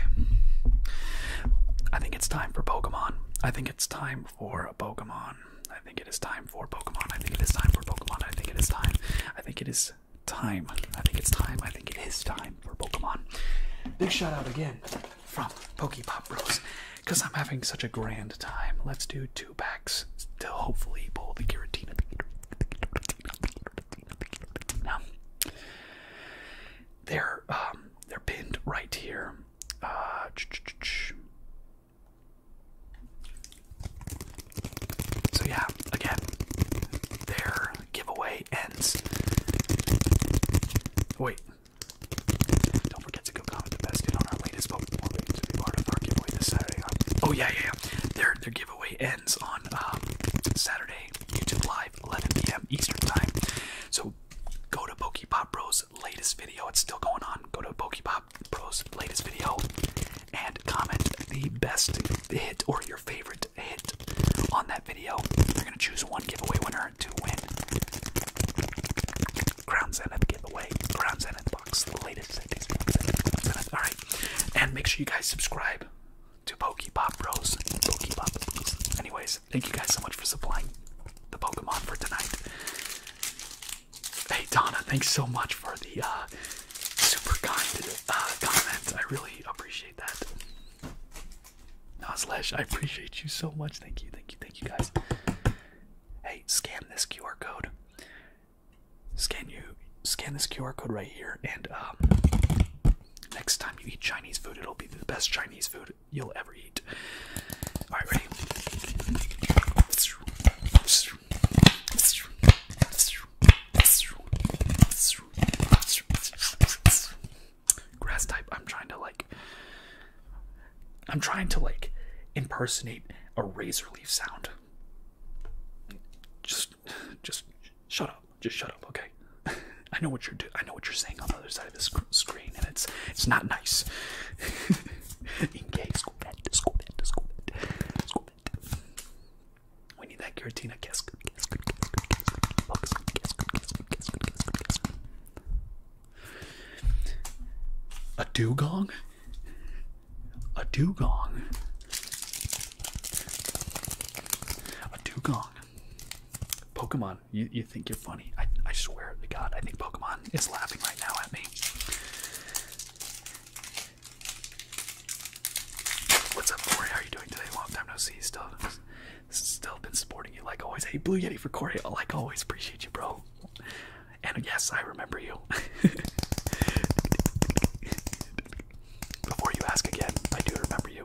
I think it's time for Pokemon. I think it's time for a Pokemon. I think it is time for Pokemon. I think it is time for Pokemon. I think it is time. I think it is time. I think it's time. I think it is time for Pokemon. Big shout out again from Pokepop Bros. Because I'm having such a grand time. Let's do two packs to hopefully pull the Giratina they're um, they're pinned right here. Uh, so yeah, again, their giveaway ends. Wait. Don't forget to go comment the best dude on our latest Pokemon Oh yeah, yeah, yeah. Their their giveaway ends on um, Saturday YouTube Live. 11 p.m. Eastern time. So go to Pop Bros' latest video. It's still going on. Go to Pop Bros' latest video and comment the best hit or your favorite hit on that video. They're gonna choose one giveaway winner to win. Crown Zenith giveaway, Crown Zenith box, latest. All right, and make sure you guys subscribe to Pokepop Bros. Pokepop Bros. Anyways, thank you guys so much for supplying the Pokemon for tonight. Hey Donna, thanks so much for the uh, super kind uh, comment. I really appreciate that. Nozlesh, I appreciate you so much. Thank you, thank you, thank you guys. Hey, scan this QR code. Scan you, scan this QR code right here, and um, Next time you eat Chinese food, it'll be the best Chinese food you'll ever eat. All right, ready? Grass type. I'm trying to like. I'm trying to like impersonate a razor leaf sound. Just, just shut up. Just shut up, okay? I know what you're do I know what you're saying on the other side of the screen, and it's it's not nice. Engage, school bed, school bed, school bed, school bed. We need that Giratina kiss. Kiss, kiss, kiss, kiss, kiss, kiss, kiss, kiss, kiss, kiss. A dugong? A dugong? A dugong Pokemon, you, you think you're funny. I, I swear to God, I think Pokemon is laughing right now at me. What's up, Corey? How are you doing today? Long time no see. Still, still been supporting you like always. Hey, Blue Yeti for Corey. Like always, appreciate you, bro. And yes, I remember you. Before you ask again, I do remember you.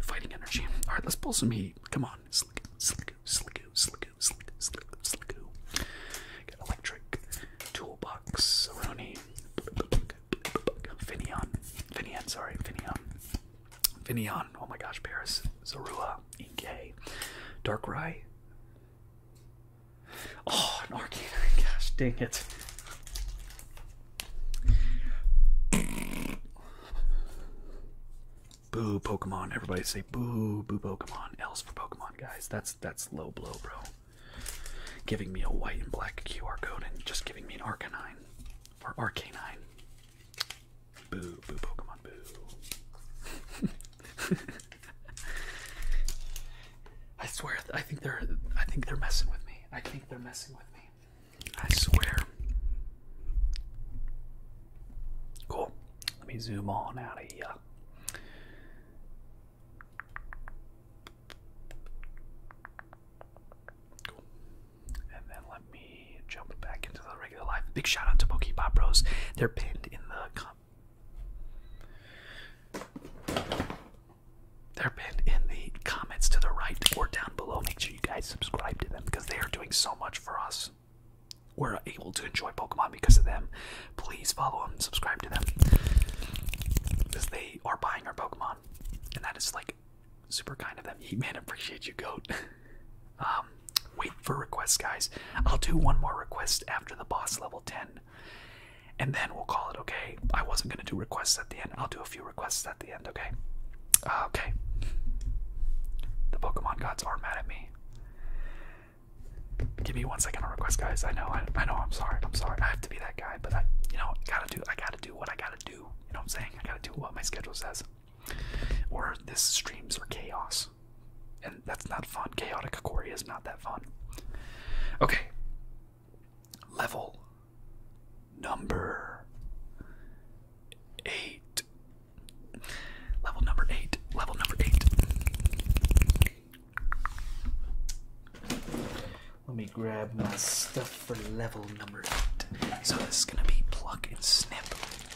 Fighting energy. All right, let's pull some heat. Come on, slick, slick, slick, slick, slick, slick, slick. Got electric toolbox, Aroni, Finion, Finion, sorry, Finion, Finion. Oh my gosh, Paris, Zorua, Inkay, Darkrai, Oh, an Arcanine. Gosh, dang it. boo Pokemon. Everybody say boo, boo Pokemon. Else for Pokemon, guys. That's that's low blow, bro. Giving me a white and black QR code and just giving me an Arcanine. Or Arcanine. Boo, boo, Pokemon, boo. I swear, I think they're, I think they're messing with me. I think they're messing with me. I swear. Cool. Let me zoom on out of here. Cool. And then let me jump back into the regular life. Big shout out to Pokebot Bros. They're pinned in the their pin in the comments to the right or down below. Make sure you guys subscribe to them because they are doing so much for us. We're able to enjoy Pokemon because of them. Please follow them, and subscribe to them because they are buying our Pokemon, and that is like super kind of them. He man, appreciate you, goat. um, um, wait for requests, guys. I'll do one more request after the boss level 10, and then we'll call it okay. I wasn't gonna do requests at the end. I'll do a few requests at the end, okay? Uh, okay. The Pokemon gods are mad at me. Give me one second on requests, guys. I know, I, know. I'm sorry. I'm sorry. I have to be that guy, but I, you know, gotta do. I gotta do what I gotta do. You know what I'm saying? I gotta do what my schedule says. Or this streams or chaos. And that's not fun. Chaotic quarry is not that fun. Okay. Level number eight. Level number eight. Level number eight. Let me grab my stuff for level number eight. So this is gonna be pluck and snip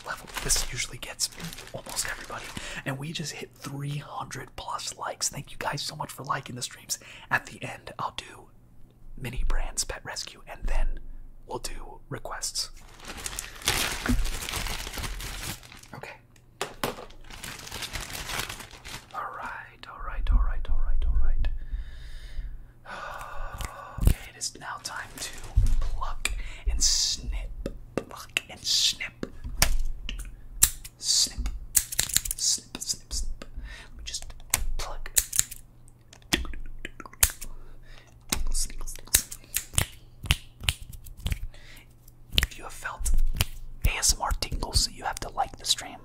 level. This usually gets almost everybody, and we just hit 300 plus likes. Thank you guys so much for liking the streams. At the end, I'll do mini brands pet rescue and then we'll do requests. Okay. All right, all right, all right, all right, all right. Okay, it is now time to pluck and snip, pluck and snip snip, snip, snip, snip, snip. just plug. If you have felt ASMR tingles, you have to like the stream.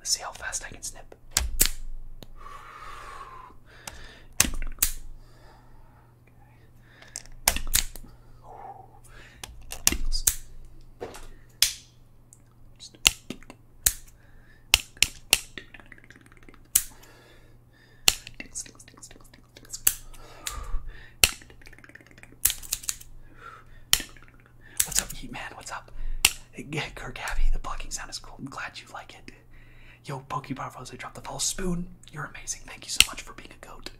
Let's see how fast I can snip. What's up, Heat Man? What's up? Kirk Abbey, the blocking sound is cool. I'm glad you like it, Yo, pokeball falls. I dropped the false spoon. You're amazing. Thank you so much for being a goat.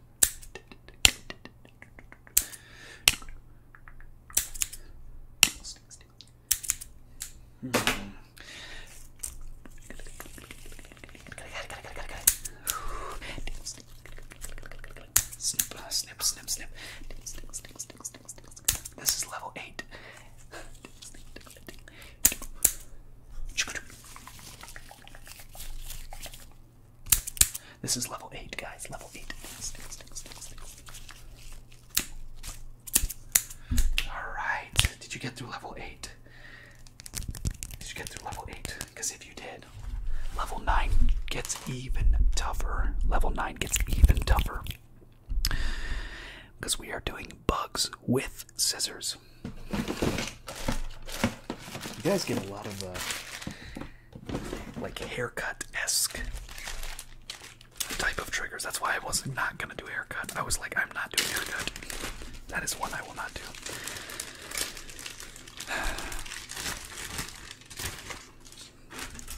Snip, uh, snip, snip, snip. This is level eight. This is level 8, guys. Level 8. Alright. Did you get through level 8? Did you get through level 8? Because if you did, level 9 gets even tougher. Level 9 gets even tougher. Because we are doing bugs with scissors. You guys get a lot of uh, like haircut esque type of triggers. That's why I was not gonna do haircut. I was like, I'm not doing haircut. That is one I will not do.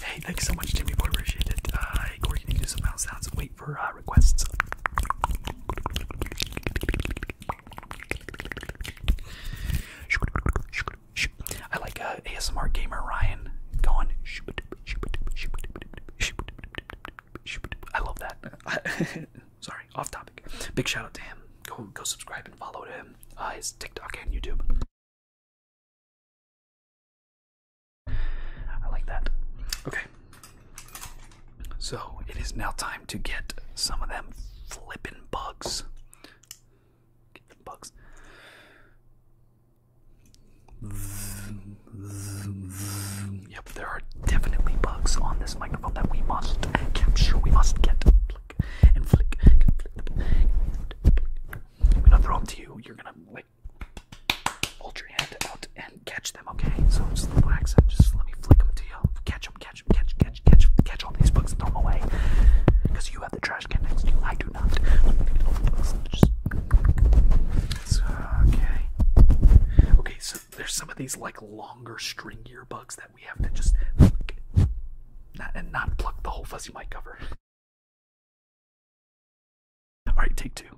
Hey, thanks so much, Jimmy Boy. Appreciate it. Uh, Corey, can you do some mouth sounds? Wait for uh, requests. I like uh, ASMR gamer Ryan going. I love that. Sorry, off topic. Big shout out to him. Go go subscribe and follow to him. Uh, his TikTok and YouTube.
I like that. Okay,
so it is now time to get some of them flippin' bugs. bugs. Yep, there are definitely bugs on this microphone that we must capture. We must get flick and flick. I'm gonna throw to you. You're gonna like hold your hand out and catch them, okay? So just the little accent, just let me flick them to you. Catch them, catch them, catch, catch, catch, catch all these bugs and throw them away. Because you have the trash can next to you, I do not. Uh, okay. Okay, so there's some of these like longer stringier bugs that we have to just flick.
Not, and not pluck the whole fuzzy mic cover. Alright,
take two.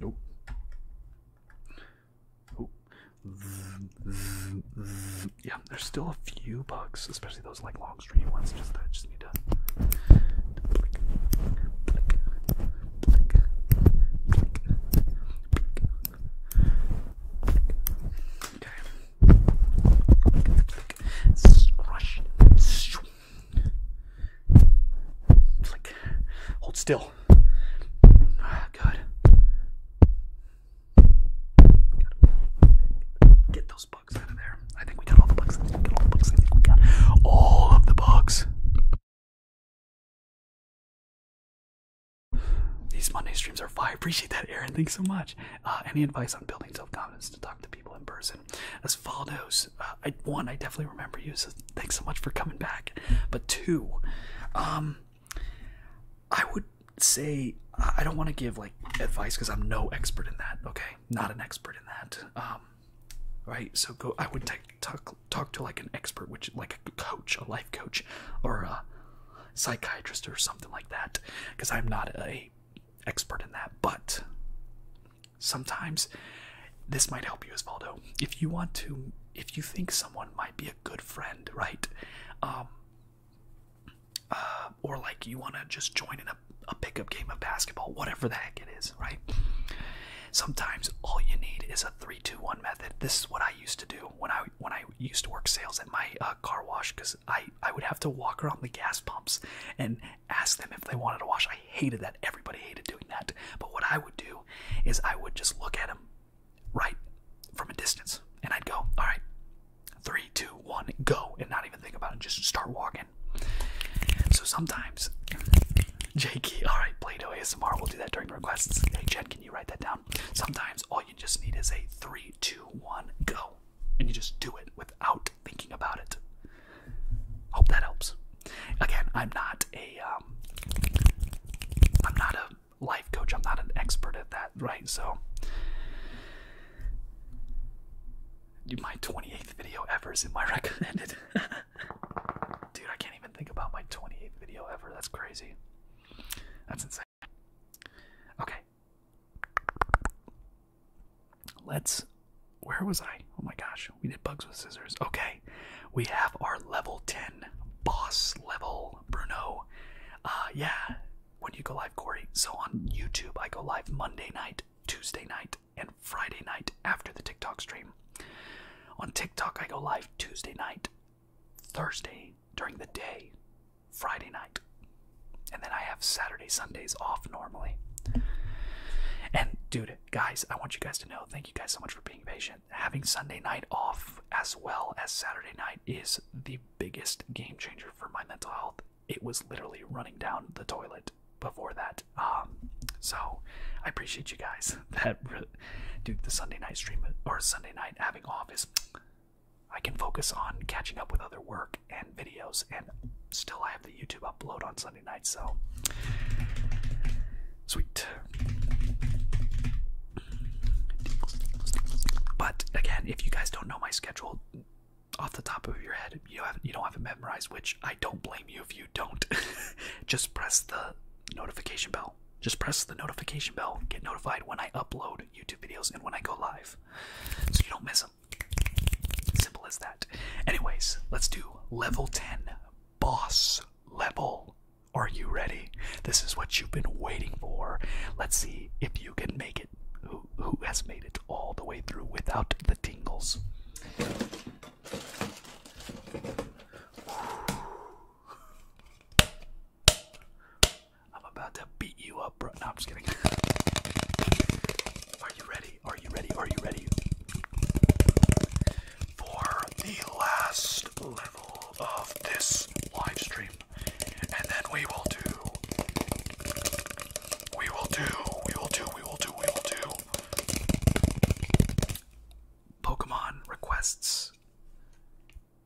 Nope. Oh. Yeah, there's still a few bugs, especially those like long string ones. Just I just need to.
It's hold still. Ah, good. Get those bugs out of there. I think we got all the bugs. We got all the bugs. We got all of the bugs. These Monday streams are fire. Appreciate that, Aaron.
Thanks so much. Uh, any advice on building self confidence to talk to people in person? As follows use. Uh, one, I definitely remember you. So thanks so much for coming back. But two, um, I would say I don't want to give like advice because I'm no expert in that. Okay, not an expert in that. Um, right. So go. I would talk talk to like an expert, which like a coach, a life coach, or a psychiatrist or something like that, because I'm not a expert in that. But sometimes this might help you as Valdo. If you want to, if you think someone might be a good friend, right? Um, uh, or like you want to just join in a, pickup game of basketball, whatever the heck it is, right? Sometimes all you need is a three-two-one method. This is what I used to do when I when I used to work sales at my uh, car wash, because I I would have to walk around the gas pumps and ask them if they wanted to wash. I hated that. Everybody hated doing that. But what I would do is I would just look at him right from a distance and I'd go, all right, three, two, one, go, and not even think about it, just start walking. So sometimes, Jakey, all right, Play Doh ASMR, we'll do that during requests. Hey, Jen, can you write that down? Sometimes all you just need is a three, two, one, go, and you just do it without thinking about it. Hope that helps. Again, I'm not a, am um, not a life coach. I'm not an expert at that, right? So, my 28th video ever is in my recommended. Dude, I can't even think about my 28th video ever. That's crazy. That's insane. Okay. Let's. Where was I? Oh my gosh we did bugs with scissors. Okay, we have our level 10 boss level, Bruno. Uh, yeah, when you go live, Corey. So on YouTube, I go live Monday night, Tuesday night, and Friday night after the TikTok stream. On TikTok, I go live Tuesday night, Thursday during the day, Friday night, and then I have Saturday, Sundays off normally. And dude, guys, I want you guys to know thank you guys so much for being patient having Sunday night off as well as Saturday night is the biggest game changer for my mental health. It was literally running down the toilet before that. Um, so I appreciate you guys that, do The Sunday night stream or Sunday night having off is. I can focus on catching up with other work and videos, and still I have the YouTube upload on Sunday night so sweet. But again, if you guys don't know my schedule off the top of your head, you haven't you don't have it memorized, which I don't blame you if you don't. Just press the notification bell. Just press the notification bell. Get notified when I upload YouTube videos and when I go live. So you don't miss them. Simple as that. Anyways, let's do level 10 boss level are you ready? This is what you've been waiting for. Let's see if you can make it. Who, who has made it all the way through without the tingles? I'm about to beat you up, bro. No, I'm just kidding. Are you ready? Are you ready? Are you ready? for the last level of this live stream. And then we will do we will do we will do we will do we will do Pokemon requests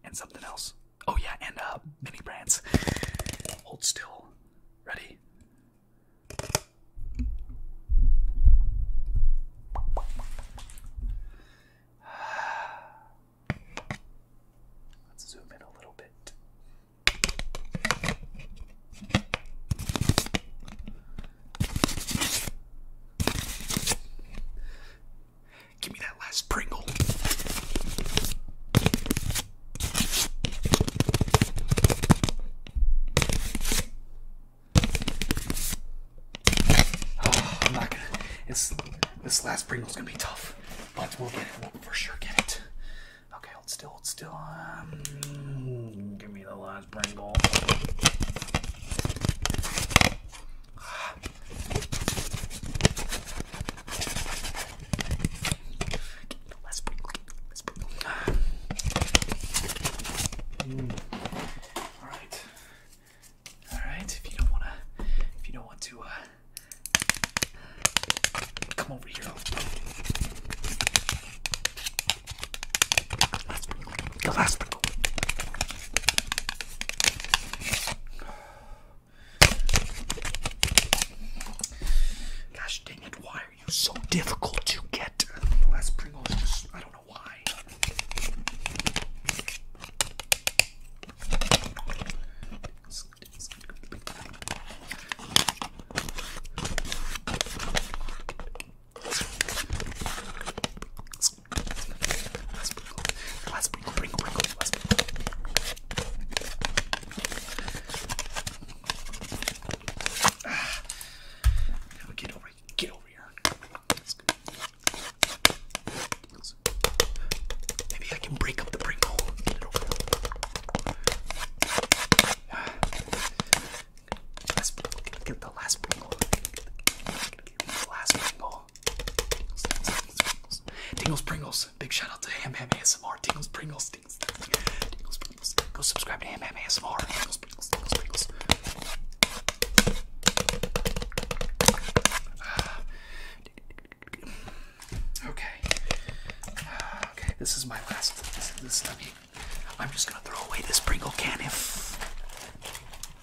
and something else. Oh yeah, and uh mini brands. Hold still. Ready? Let's zoom in a little bit. Give me that last Pringle. Ah, I'm not gonna. It's this last Pringle's gonna be tough, but we'll get it. We'll for sure get it. Okay, hold still, hold still. Um, give me the last Pringle. Ah. Hmm. All right. All right, if you don't wanna, if you don't want to, uh, come over here. last sprinkle. Gosh dang it! Why are you so difficult to get? last sprinkle i don't don't know why. Let's sprinkle, sprinkle, sprinkle, let's sprinkle. Ah, now we get over Get over here. Maybe I can break up the Pringle. Get the last Pringle. Tingles Pringles. Big shout out to Ham Ham ASMR. Tingles Pringles. Tingles, Pringles. Go subscribe to Ham Ham ASMR. Ah. Okay. Ah, okay, this is my last. This, is the mean, I'm just gonna throw away this Pringle can if,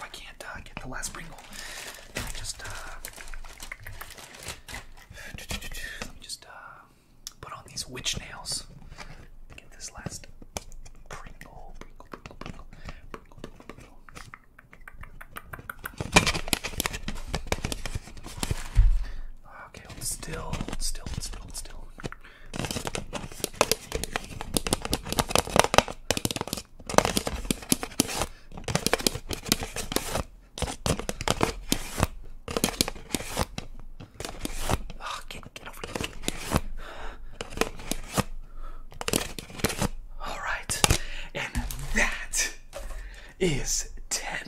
I can't uh, get the last Pringle. Uh, let me just uh, put on these witch nails. Get this last Pringle, Okay, hold still, hold still, hold still, hold still. Oh, get, get over here. All right, and that is 10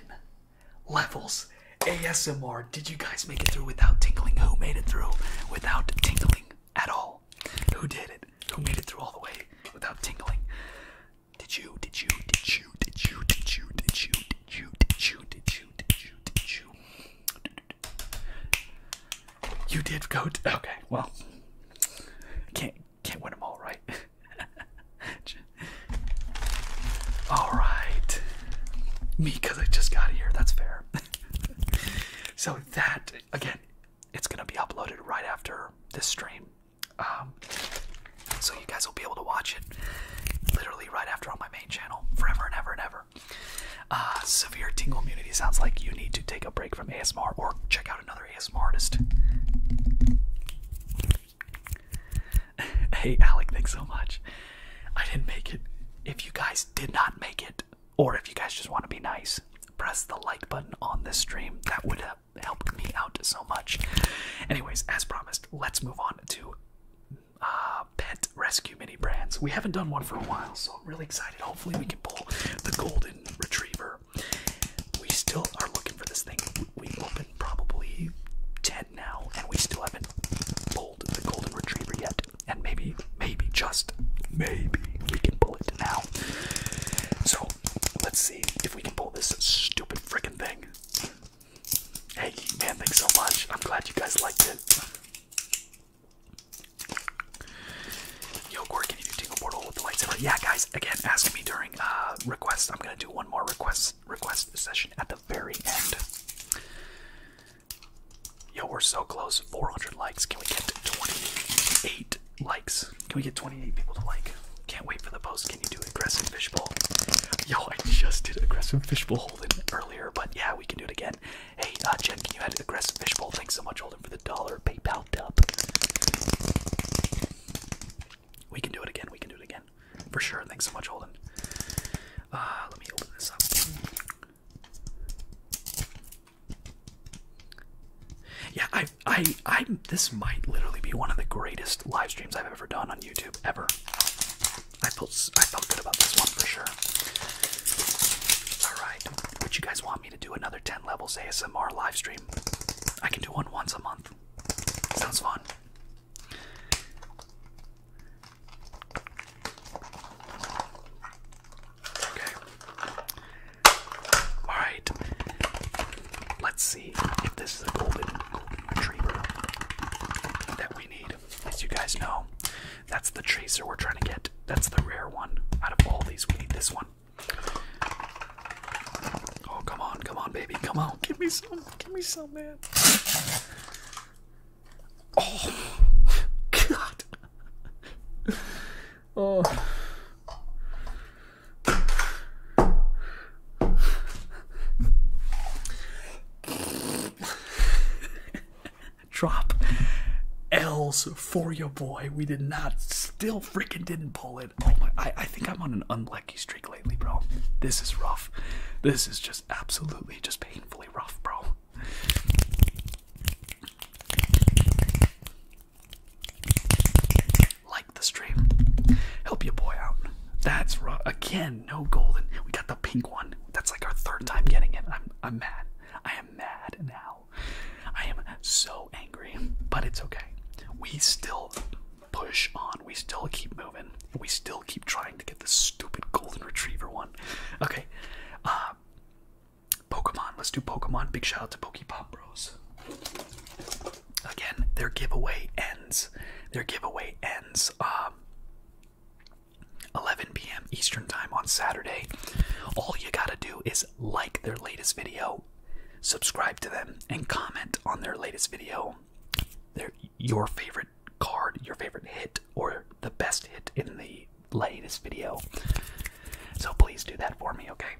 levels ASMR. Did you guys make it through without tinkling? Who made it through without tinkling at all? Who did it? Who made it through all the way without tinkling? did you, did you, did you, did you, did you, did you, did you, did you, did you, did you? You did go. okay, well, can't can't win them all, right? all right, me because I just got here. That's fair. so that again, it's gonna be uploaded right after this stream, um, so you guys will be able to watch it literally right after on my main channel forever and ever and ever. Uh, severe tingle immunity sounds like you need to take a break from ASMR or check out another ASMR artist. hey, Alec, thanks so much. I didn't make it. If you guys did not make it, or if you guys just want to be nice, press the like button on this stream. That would have helped me out so much. Anyways, as promised, let's move on to uh, pet rescue mini brands. We haven't done one for a while, so really excited. Hopefully, we can pull the golden retriever. We still are looking for this thing. We have opened probably 10 now, and we still haven't pulled the golden retriever yet. And maybe, maybe, just maybe, we can pull it now. So, let's see if we can pull this stupid freaking thing. Hey, man, thanks so much. I'm glad you guys liked it. Yo, Corey, can you do Tingle Portal with the lightsaber? Yeah, guys, again, ask me during uh, requests. I'm going to do one more request, request session at the very end. Yo, we're so close. 400 likes. Can we get 28 likes? Can we get 28 people to like? Can't wait for the post. Can you do aggressive fishbowl? Yo, I just did aggressive fishbowl holding earlier, but yeah, we can do it again. Hey, uh, Jen, can you add aggressive fishbowl? Thanks so much, Holden, for the dollar PayPal tip. We can do it again. We can do it again, for sure. Thanks so much, Holden. Uh, let me open this up. Yeah, I, I, I. This might literally be one of the greatest live streams I've ever done on YouTube ever. I felt, I felt good about this one for sure. All right, what you guys want me to do another 10 levels ASMR live stream. I can do one once a month. Sounds fun. Okay. Alright. Let's see if this is a golden, golden retriever that we need. As you guys know, that's the tracer we're trying to get. That's the rare one. Out of all these, we need this one. Oh, come on, come on, baby, come on. Give me some, give me some, man. Oh, God. Oh. Drop L's for your boy. We did not, still freaking didn't pull it. Oh my, I, think I'm on an unlucky streak lately, bro. This is rough. This is just absolutely, just painfully rough, bro. Like the stream. Help your boy out. That's rough. Again, no golden. We got the pink one. That's like our third time getting it. I'm, I'm mad. I am mad now. I am so angry, but it's okay. We still push on. We still keep moving. We still keep trying to get this stupid golden retriever one. Okay. Uh, Pokemon. Let's do Pokemon. Big shout out to Pokepop Bros. Again, their giveaway ends. Their giveaway ends. Um, 11 p.m. Eastern Time on Saturday. All you gotta do is like their latest video, subscribe to them, and comment on their latest video. Their, your favorite card, your favorite hit, or the best hit in the latest video. So please do that for me, okay?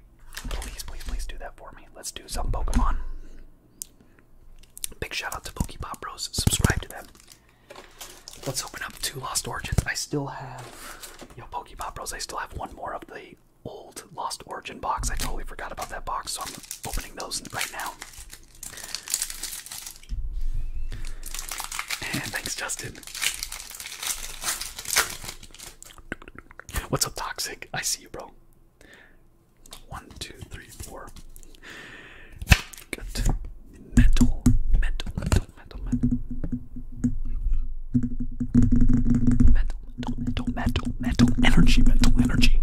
Please, please, please do that for me. Let's do some Pokemon. Big shout out to Pokepop Bros. Subscribe to them. Let's open up two Lost Origins. I still have Yo, Pokemon Bros, I still have one more of the old Lost Origin box. I totally forgot about that box, so I'm opening those right now. thanks, Justin. What's up, Toxic? I see you, bro. One, two, three, four. Good. Mental, mental, metal, metal, metal. Metal, metal, energy, metal, energy.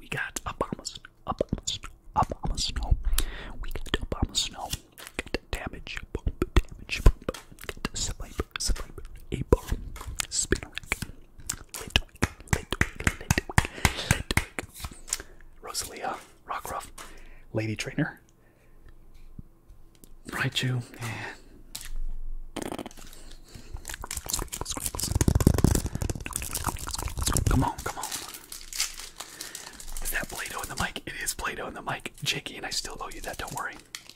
We got Obama Obama Obama Snow. We got Obama Snow. Got damage, bump, damage, bump. Got sniper, sniper, a bomb, spinner, Litwick, Litwick, Litwick, Litwick. Rosalia, Rockruff, Lady Trainer, Right, you. Come on, come on. Is that Play-Doh in the mic? It is Play-Doh in the mic. Jakey, and I still owe you that, don't worry.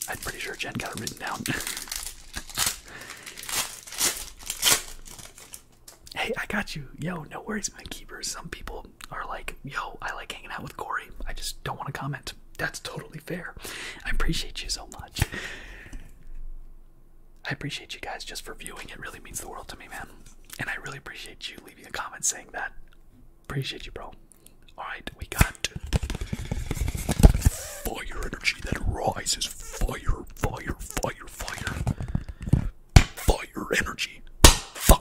I'm pretty sure Jen got it written down. hey, I got you. Yo, no worries, my keeper. Some people are like, yo, I like hanging out with Corey. I just don't want to comment. That's totally fair. I appreciate you so much. I appreciate you guys just for viewing. It really means the world to me, man. And I really appreciate you leaving a comment saying that. Appreciate you, bro. Alright, we got fire energy that rises. Fire, fire, fire, fire. Fire energy. Fire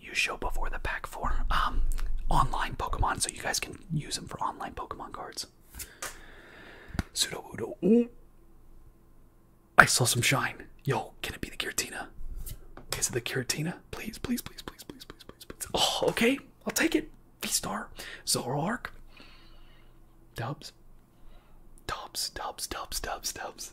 you show before the pack for um online Pokemon, so you guys can use them for online Pokemon cards. Pseudo Udo. Ooh. I saw some shine. Yo, can it be the Giratina? Is it the Giratina? Please, please, please, please, please, please, please, please. Oh, okay. I'll take it. V-Star. Zoroark. Dubs. Dubs, dubs, dubs, dubs, dubs.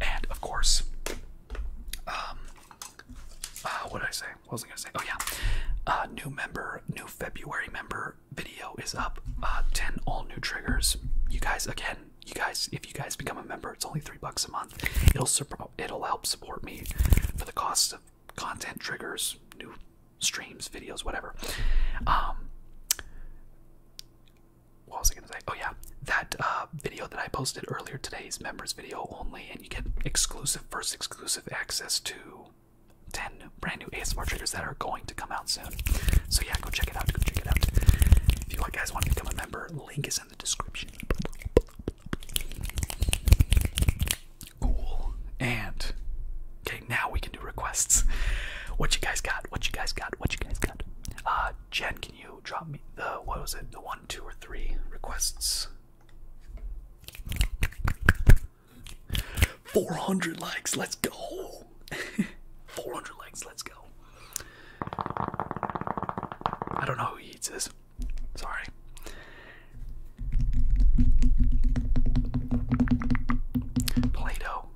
And of course, um, uh, what did I say? What was I gonna say? Oh yeah, uh, new member, new February member video is up. Uh, ten all new triggers. You guys, again, you guys, if you guys become a member, it's only three bucks a month. It'll it'll help support me for the cost of content triggers, new streams, videos, whatever. Um, what was I gonna say? Oh yeah, that uh, video that I posted earlier today is members video only, and you get exclusive first exclusive access to 10 brand new ASMR triggers that are going to come out soon. So yeah, go check it out. Go check it out. If you guys want to become a member, link is in the description. Cool. And okay, now we can do requests. What you guys got? What you guys got? What you guys got? Uh, Jen can you drop me the what was it the one two or three requests 400 likes let's go 400 likes let's go i don't know who eats this sorry play-doh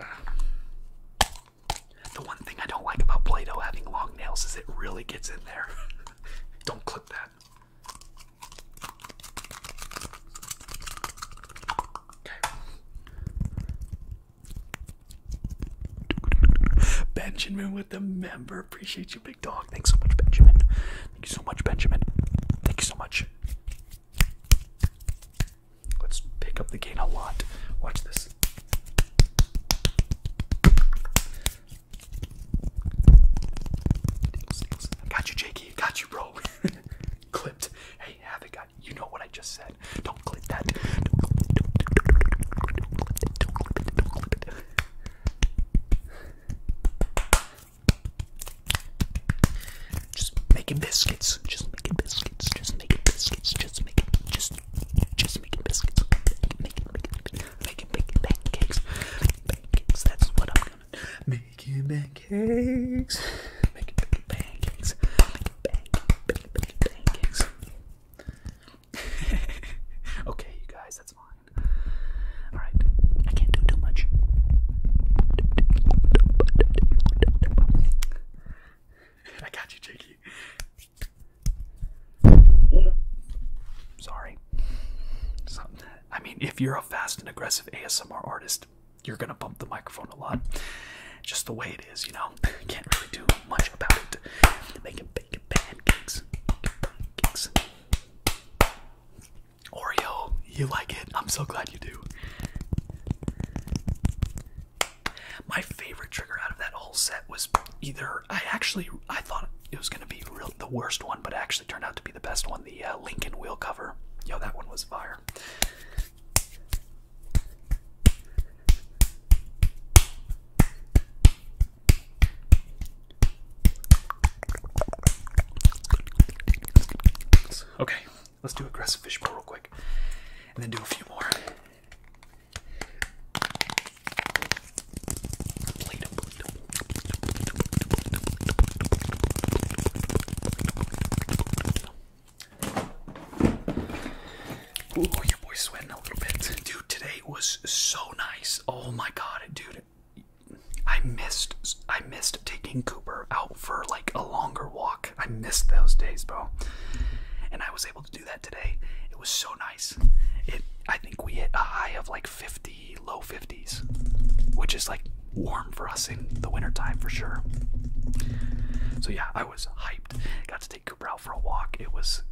Ah. The one thing I don't like about Play-Doh having long nails is it really gets in there. don't clip that. Benjamin with the member. Appreciate you, big dog. Thanks so much, Benjamin. Thank you so much, Benjamin. Thank you so much. Let's pick up the gain a lot. Watch this. Got you, Jakey. Got you, bro. Clipped. Hey, Havoc, I, you know what I just said. Don't clip that. Don't clip it. Don't clip it. Don't clip it. Don't clip it. Don't clip it. Just making biscuits. Just making biscuits. Just making biscuits. Just making just making biscuits. Making making making making pancakes. Pancakes. That's what I'm making pancakes. Making making pancakes. Making pancakes. Making pancakes. okay, you guys, that's fine. Alright, I can't do too much. I got you, Jakey. Sorry. I mean, if you're a fast and aggressive ASMR artist, you're gonna bump the microphone a lot. Just the way it is, you know. Can't really do much about it. Making bacon pancakes, pancakes, Oreo, you like it? I'm so glad you do. My favorite trigger out of that whole set was either I actually I thought it was gonna be the worst one, but actually turned out to be the best one. The uh, Lincoln wheel cover, yo, that one was fire. Okay, let's do aggressive fish fishbowl real quick, and then do a few more. Ooh, your boy's sweating a little bit. Dude, today was so nice. Oh my god, dude, I missed I missed taking Cooper out for like a longer walk. I missed those days, bro. And I was able to do that today. It was so nice. It I think we hit a high of like 50, low 50s, which is like warm for us in the wintertime for sure. So yeah, I was hyped. Got to take Cooper out for a walk. It was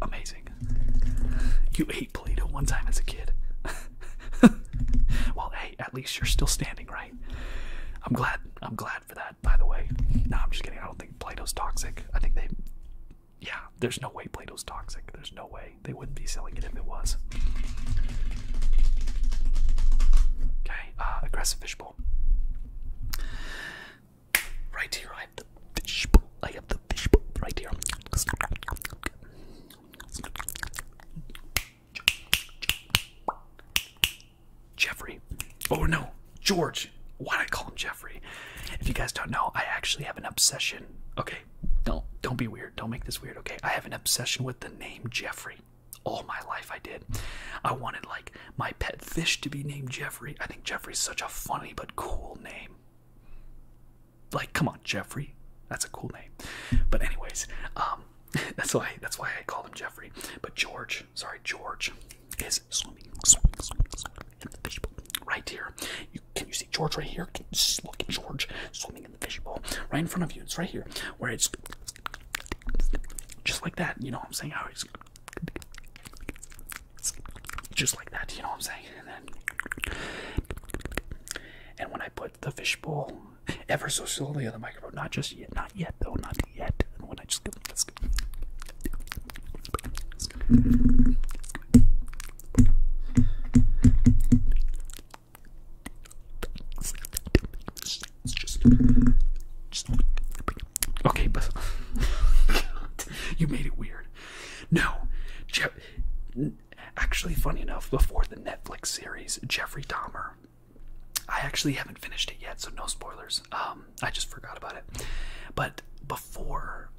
amazing. You ate Plato one time as a kid. well, hey, at least you're still standing, right? I'm glad. I'm glad for that, by the way. No, I'm just kidding. I don't think Plato's toxic. I think they. Yeah, there's no way Plato's toxic. There's no way. They wouldn't be selling it if it was. Okay, uh, aggressive fishbowl. Right here, I have the fishbowl. I have right here. Jeffrey. Oh no, George. Why did I call him Jeffrey? If you guys don't know, I actually have an obsession. Okay, don't don't be weird. Don't make this weird. Okay, I have an obsession with the name Jeffrey. All my life, I did. I wanted like my pet fish to be named Jeffrey. I think Jeffrey's such a funny but cool name like come on jeffrey that's a cool name but anyways um, that's why that's why i call him jeffrey but george sorry george is swimming in the fishbowl right here can you see george right here look at george swimming in the fishbowl right in front of you it's right here where it's just like that you know what i'm saying how it's just like that you know what i'm saying and then and when I put the fishbowl ever so slowly on the microphone, not just yet, not yet though, not yet. when I just okay, but you made it weird. No, Jeff, Actually, funny enough, before the Netflix series Jeffrey Dahmer, I actually haven't finished it yet, so no spoilers. Um, I just forgot about it. But before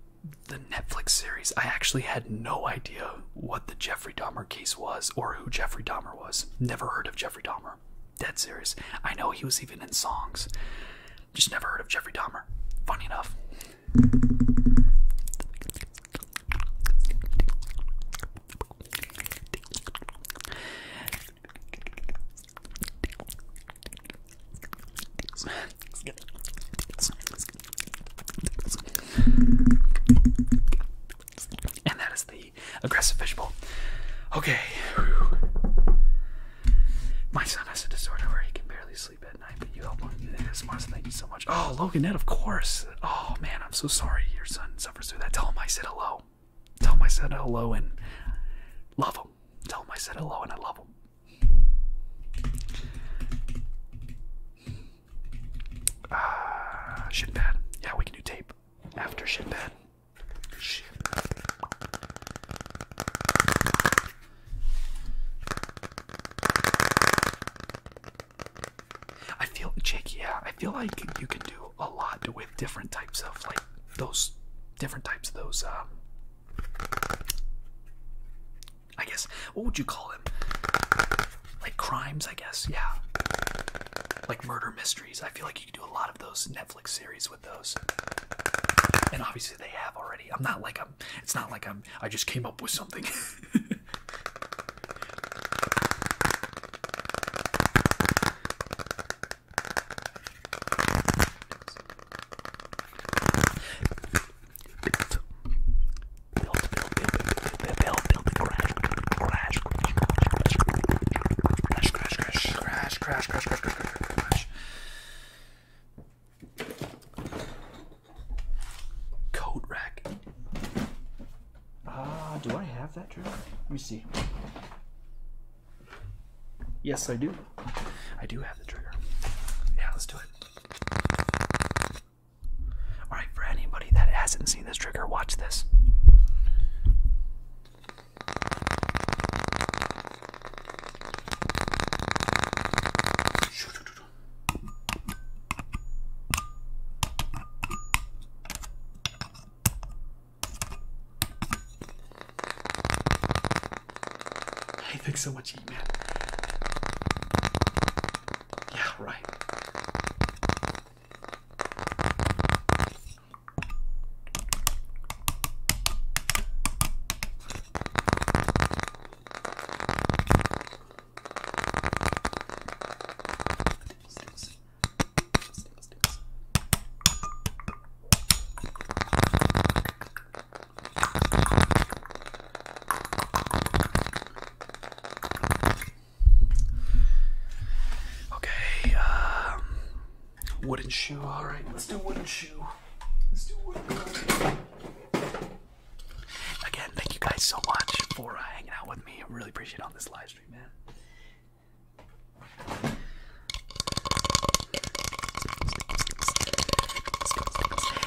the Netflix series, I actually had no idea what the Jeffrey Dahmer case was or who Jeffrey Dahmer was. Never heard of Jeffrey Dahmer. Dead serious. I know he was even in songs. Just never heard of Jeffrey Dahmer. Funny enough. And that is the aggressive fishbowl. Okay. My son has a disorder where he can barely sleep but you help on ASMRs. Thank you so much. Oh, Logan, Loganette, of course. Oh man, I'm so sorry your son suffers through that. Tell him I said hello. Tell him I said hello and love him. Tell him I said hello and I love him. Ah, shit bad. Yeah, we can do tape after shit bad. I feel, Jake, yeah, I feel like you can do a lot with different types of, like, those different types of those, um, I guess, what would you call them? Like crimes, I guess, yeah. Like murder mysteries. I feel like you can do a lot of those Netflix series with those. And obviously they have already. I'm not like a it's not like I'm I just came up with something. Coat rack. Ah, do I have that trigger? Let me see. Yes, I do. I do have the trigger. Yeah, let's do it. Alright, for anybody that hasn't seen this trigger, watch this. Shoot. Hey, thanks so much, E-Man. Yeah, right. Okay, um, wooden shoe. All right, let's do wooden shoe. Let's do wooden shoe. Again, thank you guys so much for uh, hanging out with me. I really appreciate all this live stream, man.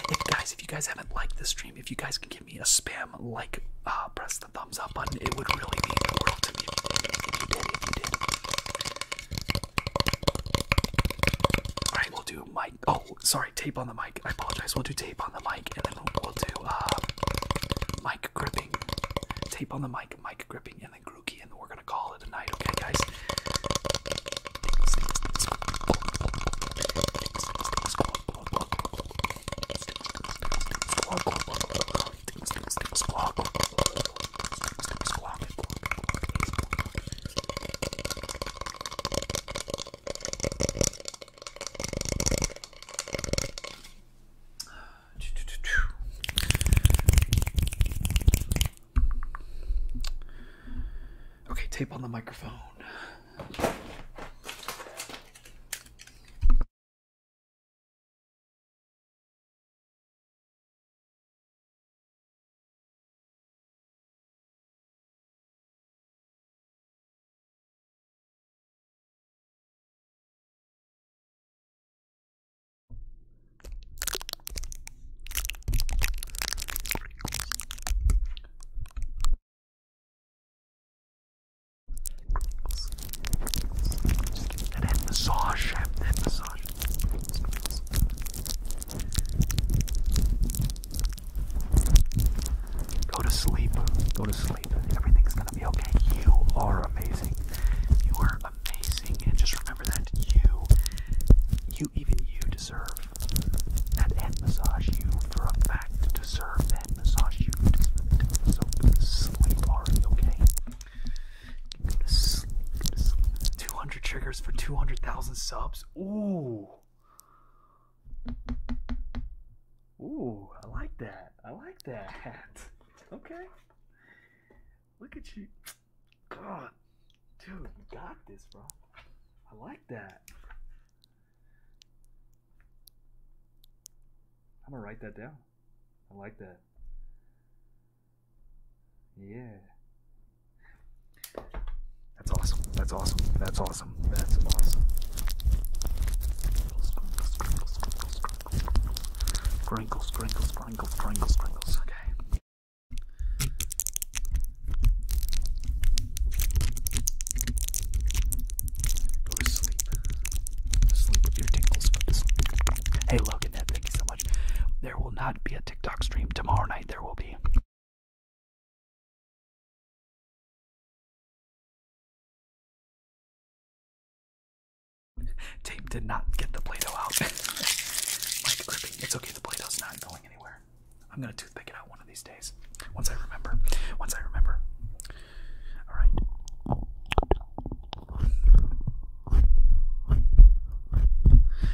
If guys, if you guys haven't liked this stream, if you guys can give me a spam like, uh, press the thumbs up button, it would really mean the world to me if you did. If you did, All right, we'll do my. Oh, sorry tape on the mic. I apologize. We'll do tape on the mic, and then we'll, do uh, mic gripping. Tape on the mic, mic gripping, and then Grookey, and we're gonna call it a night. Okay, guys. Okay, tape on the microphone.
And then massage,
and then massage. Go to sleep. Go to sleep. Everything's going to be okay. You are amazing. You are amazing. And just remember that you, you, even you deserve that head massage. You, for a fact, deserve that massage. You deserve it. So go to sleep already, okay? Go to sleep. Go to sleep. 200 triggers for 200,000 subs? Ooh. Ooh, I like that. I like that. Okay. Look at you. God. Dude, you got this, bro. I like that. I'm going to write that down. I like that. Yeah. That's awesome. That's awesome. That's awesome. That's awesome. Sprinkles, sprinkles, sprinkles, sprinkles, sprinkles. Okay. Go to sleep. Sleep with your tingles. Hey, Logan, thank you so much. There will not be a
TikTok stream tomorrow night. There will be
Tape did not get the Play-Doh out. like it's okay, the Play-Doh's not going anywhere. I'm gonna toothpick it out one of these days. Once I remember. Once I remember. Alright.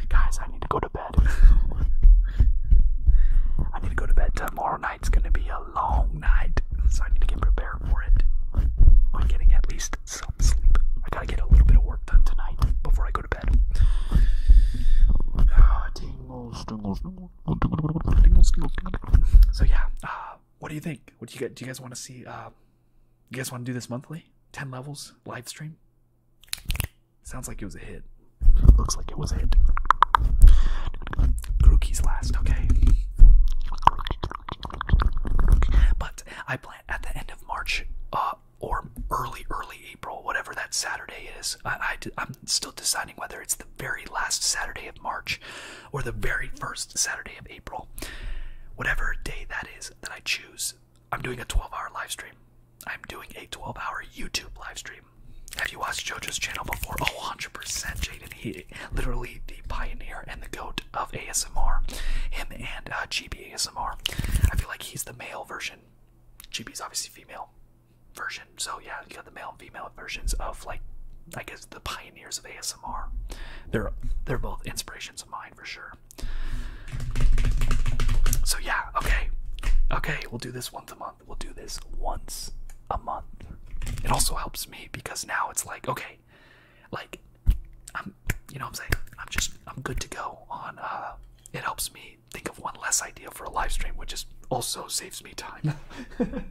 Guys, I need to go to bed. I need to go to bed. Tomorrow night's gonna be a long night, so I need to get prepared for it. I'm getting at least some sleep. I gotta get a little bit of work done tonight before I go to bed. Ah, so yeah, uh, what do you think? What do you get? do? You guys want to see? Uh, you guys want to do this monthly? Ten levels live stream. Sounds like it was a hit. Looks like it was it. Grookey's last, okay? But I plan at the end of March uh, or early, early April, whatever that Saturday is. I, I'm still deciding whether it's the very last Saturday of March or the very first Saturday of April. Whatever day that is that I choose, I'm doing a 12 hour live stream. I'm doing a 12 hour YouTube live stream. Have you watched JoJo's channel before? Oh, 100%. Jaden, he literally the pioneer and the goat of ASMR. Him and uh, GB ASMR. I feel like he's the male version. is obviously female version. So yeah, you got the male and female versions of like, I guess the pioneers of ASMR. They're they're both inspirations of mine for sure. So yeah, okay, okay, we'll do this once a month. We'll do this once a month. It also helps me because now it's like, okay, like I'm you know I'm saying? I'm just I'm good to go on uh it helps me think of one less idea for a live stream, which is also saves me time.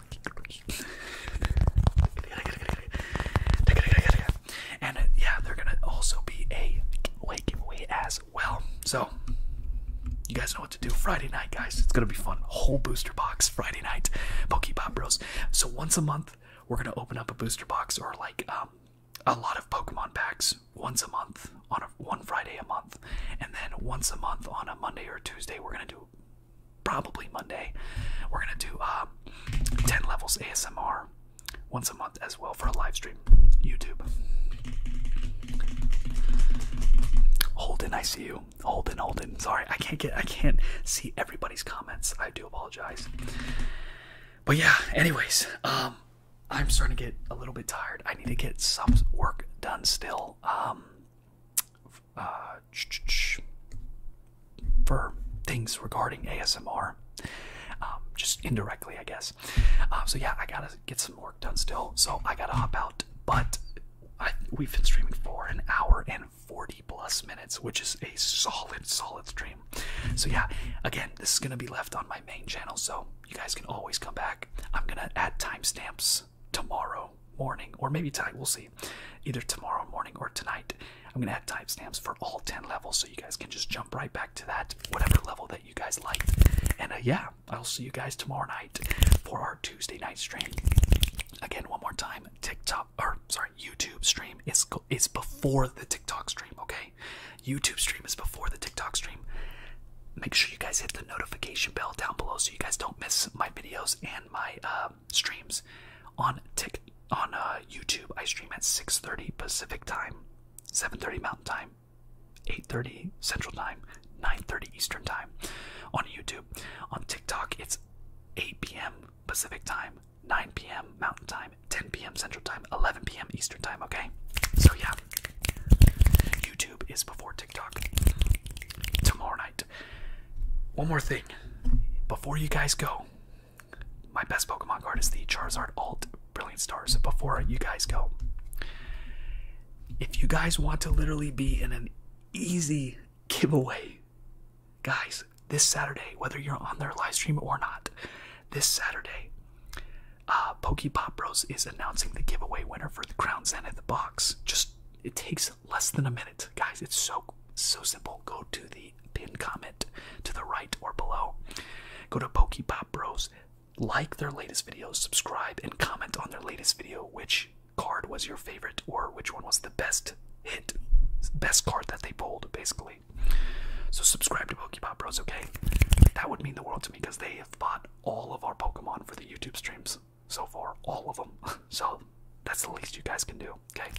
And uh, yeah, they're gonna also be a like giveaway as well. So you guys know what to do. Friday night, guys. It's gonna be fun. Whole booster box Friday night, Pokeball Bros. So once a month, we're gonna open up a booster box or like um, a lot of Pokemon packs once a month on a, one Friday a month, and then once a month on a Monday or Tuesday, we're gonna do probably Monday. We're gonna do um, 10 levels ASMR once a month as well for a live stream. YouTube. Holden, I see you. Holden, Holden. Sorry, I can't get I can't see everybody's comments. I do apologize. But yeah, anyways, um I'm starting to get a little bit tired. I need to get some work done still. Um uh, for things regarding ASMR, um, just indirectly, I guess. Um, so yeah, I gotta get some work done still, so I gotta hop out. But we've been streaming for an hour and 40 plus minutes, which is a solid, solid stream. So yeah, again, this is gonna be left on my main channel, so you guys can always come back. I'm gonna add timestamps tomorrow morning, or maybe tonight, we'll see. Either tomorrow morning or tonight. I'm gonna add timestamps for all 10 levels so you guys can just jump right back to that, whatever level that you guys like. And uh, yeah, I'll see you guys tomorrow night for our Tuesday night stream. Again, one more time, TikTok, or sorry, YouTube stream is, is before the TikTok stream, okay? YouTube stream is before the TikTok stream. Make sure you guys hit the notification bell down below so you guys don't miss my videos and my uh, streams on tick on uh, YouTube. I stream at 6:30 Pacific time, 7:30 Mountain time, 8:30 Central time, 9:30 Eastern time. On YouTube, on TikTok, it's 8 p.m. Pacific time, 9 p.m. Mountain time, 10 p.m. Central time, 11 p.m. Eastern time. Okay, so yeah, YouTube is before TikTok. Tomorrow night. One more thing. Before you guys go, my best Pokemon card is the Charizard Alt Brilliant Stars. Before you guys go, if you guys want to literally be in an easy giveaway, guys, this Saturday, whether you're on their livestream or not, this Saturday, uh, Pokepop Bros is announcing the giveaway winner for the Crown Zenith box. Just it takes less than a minute, guys. It's so so simple. Go to the pin comment to the right or below. Go to Pokepop Bros. Like their latest videos, subscribe, and comment on their latest video. Which card was your favorite, or which one was the best hit, best card that they pulled, basically. So subscribe to Pokepop Bros. Okay, that would mean the world to me because they have bought all of our Pokemon for the YouTube streams so far, all of them. So that's the least you guys can do, okay?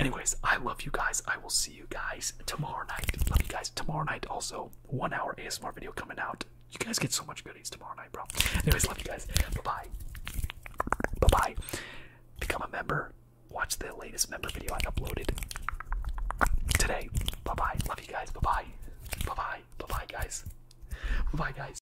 Anyways, I love you guys. I will see you guys tomorrow night. Love you guys. Tomorrow night, also, one hour ASMR video coming out. You guys get so much goodies tomorrow night, bro. Anyways, love you guys. Bye bye. Bye bye. Become a member. Watch the latest member video I uploaded today. Bye bye. Love you guys. Bye bye. Bye bye. Bye bye, guys. Bye bye, guys.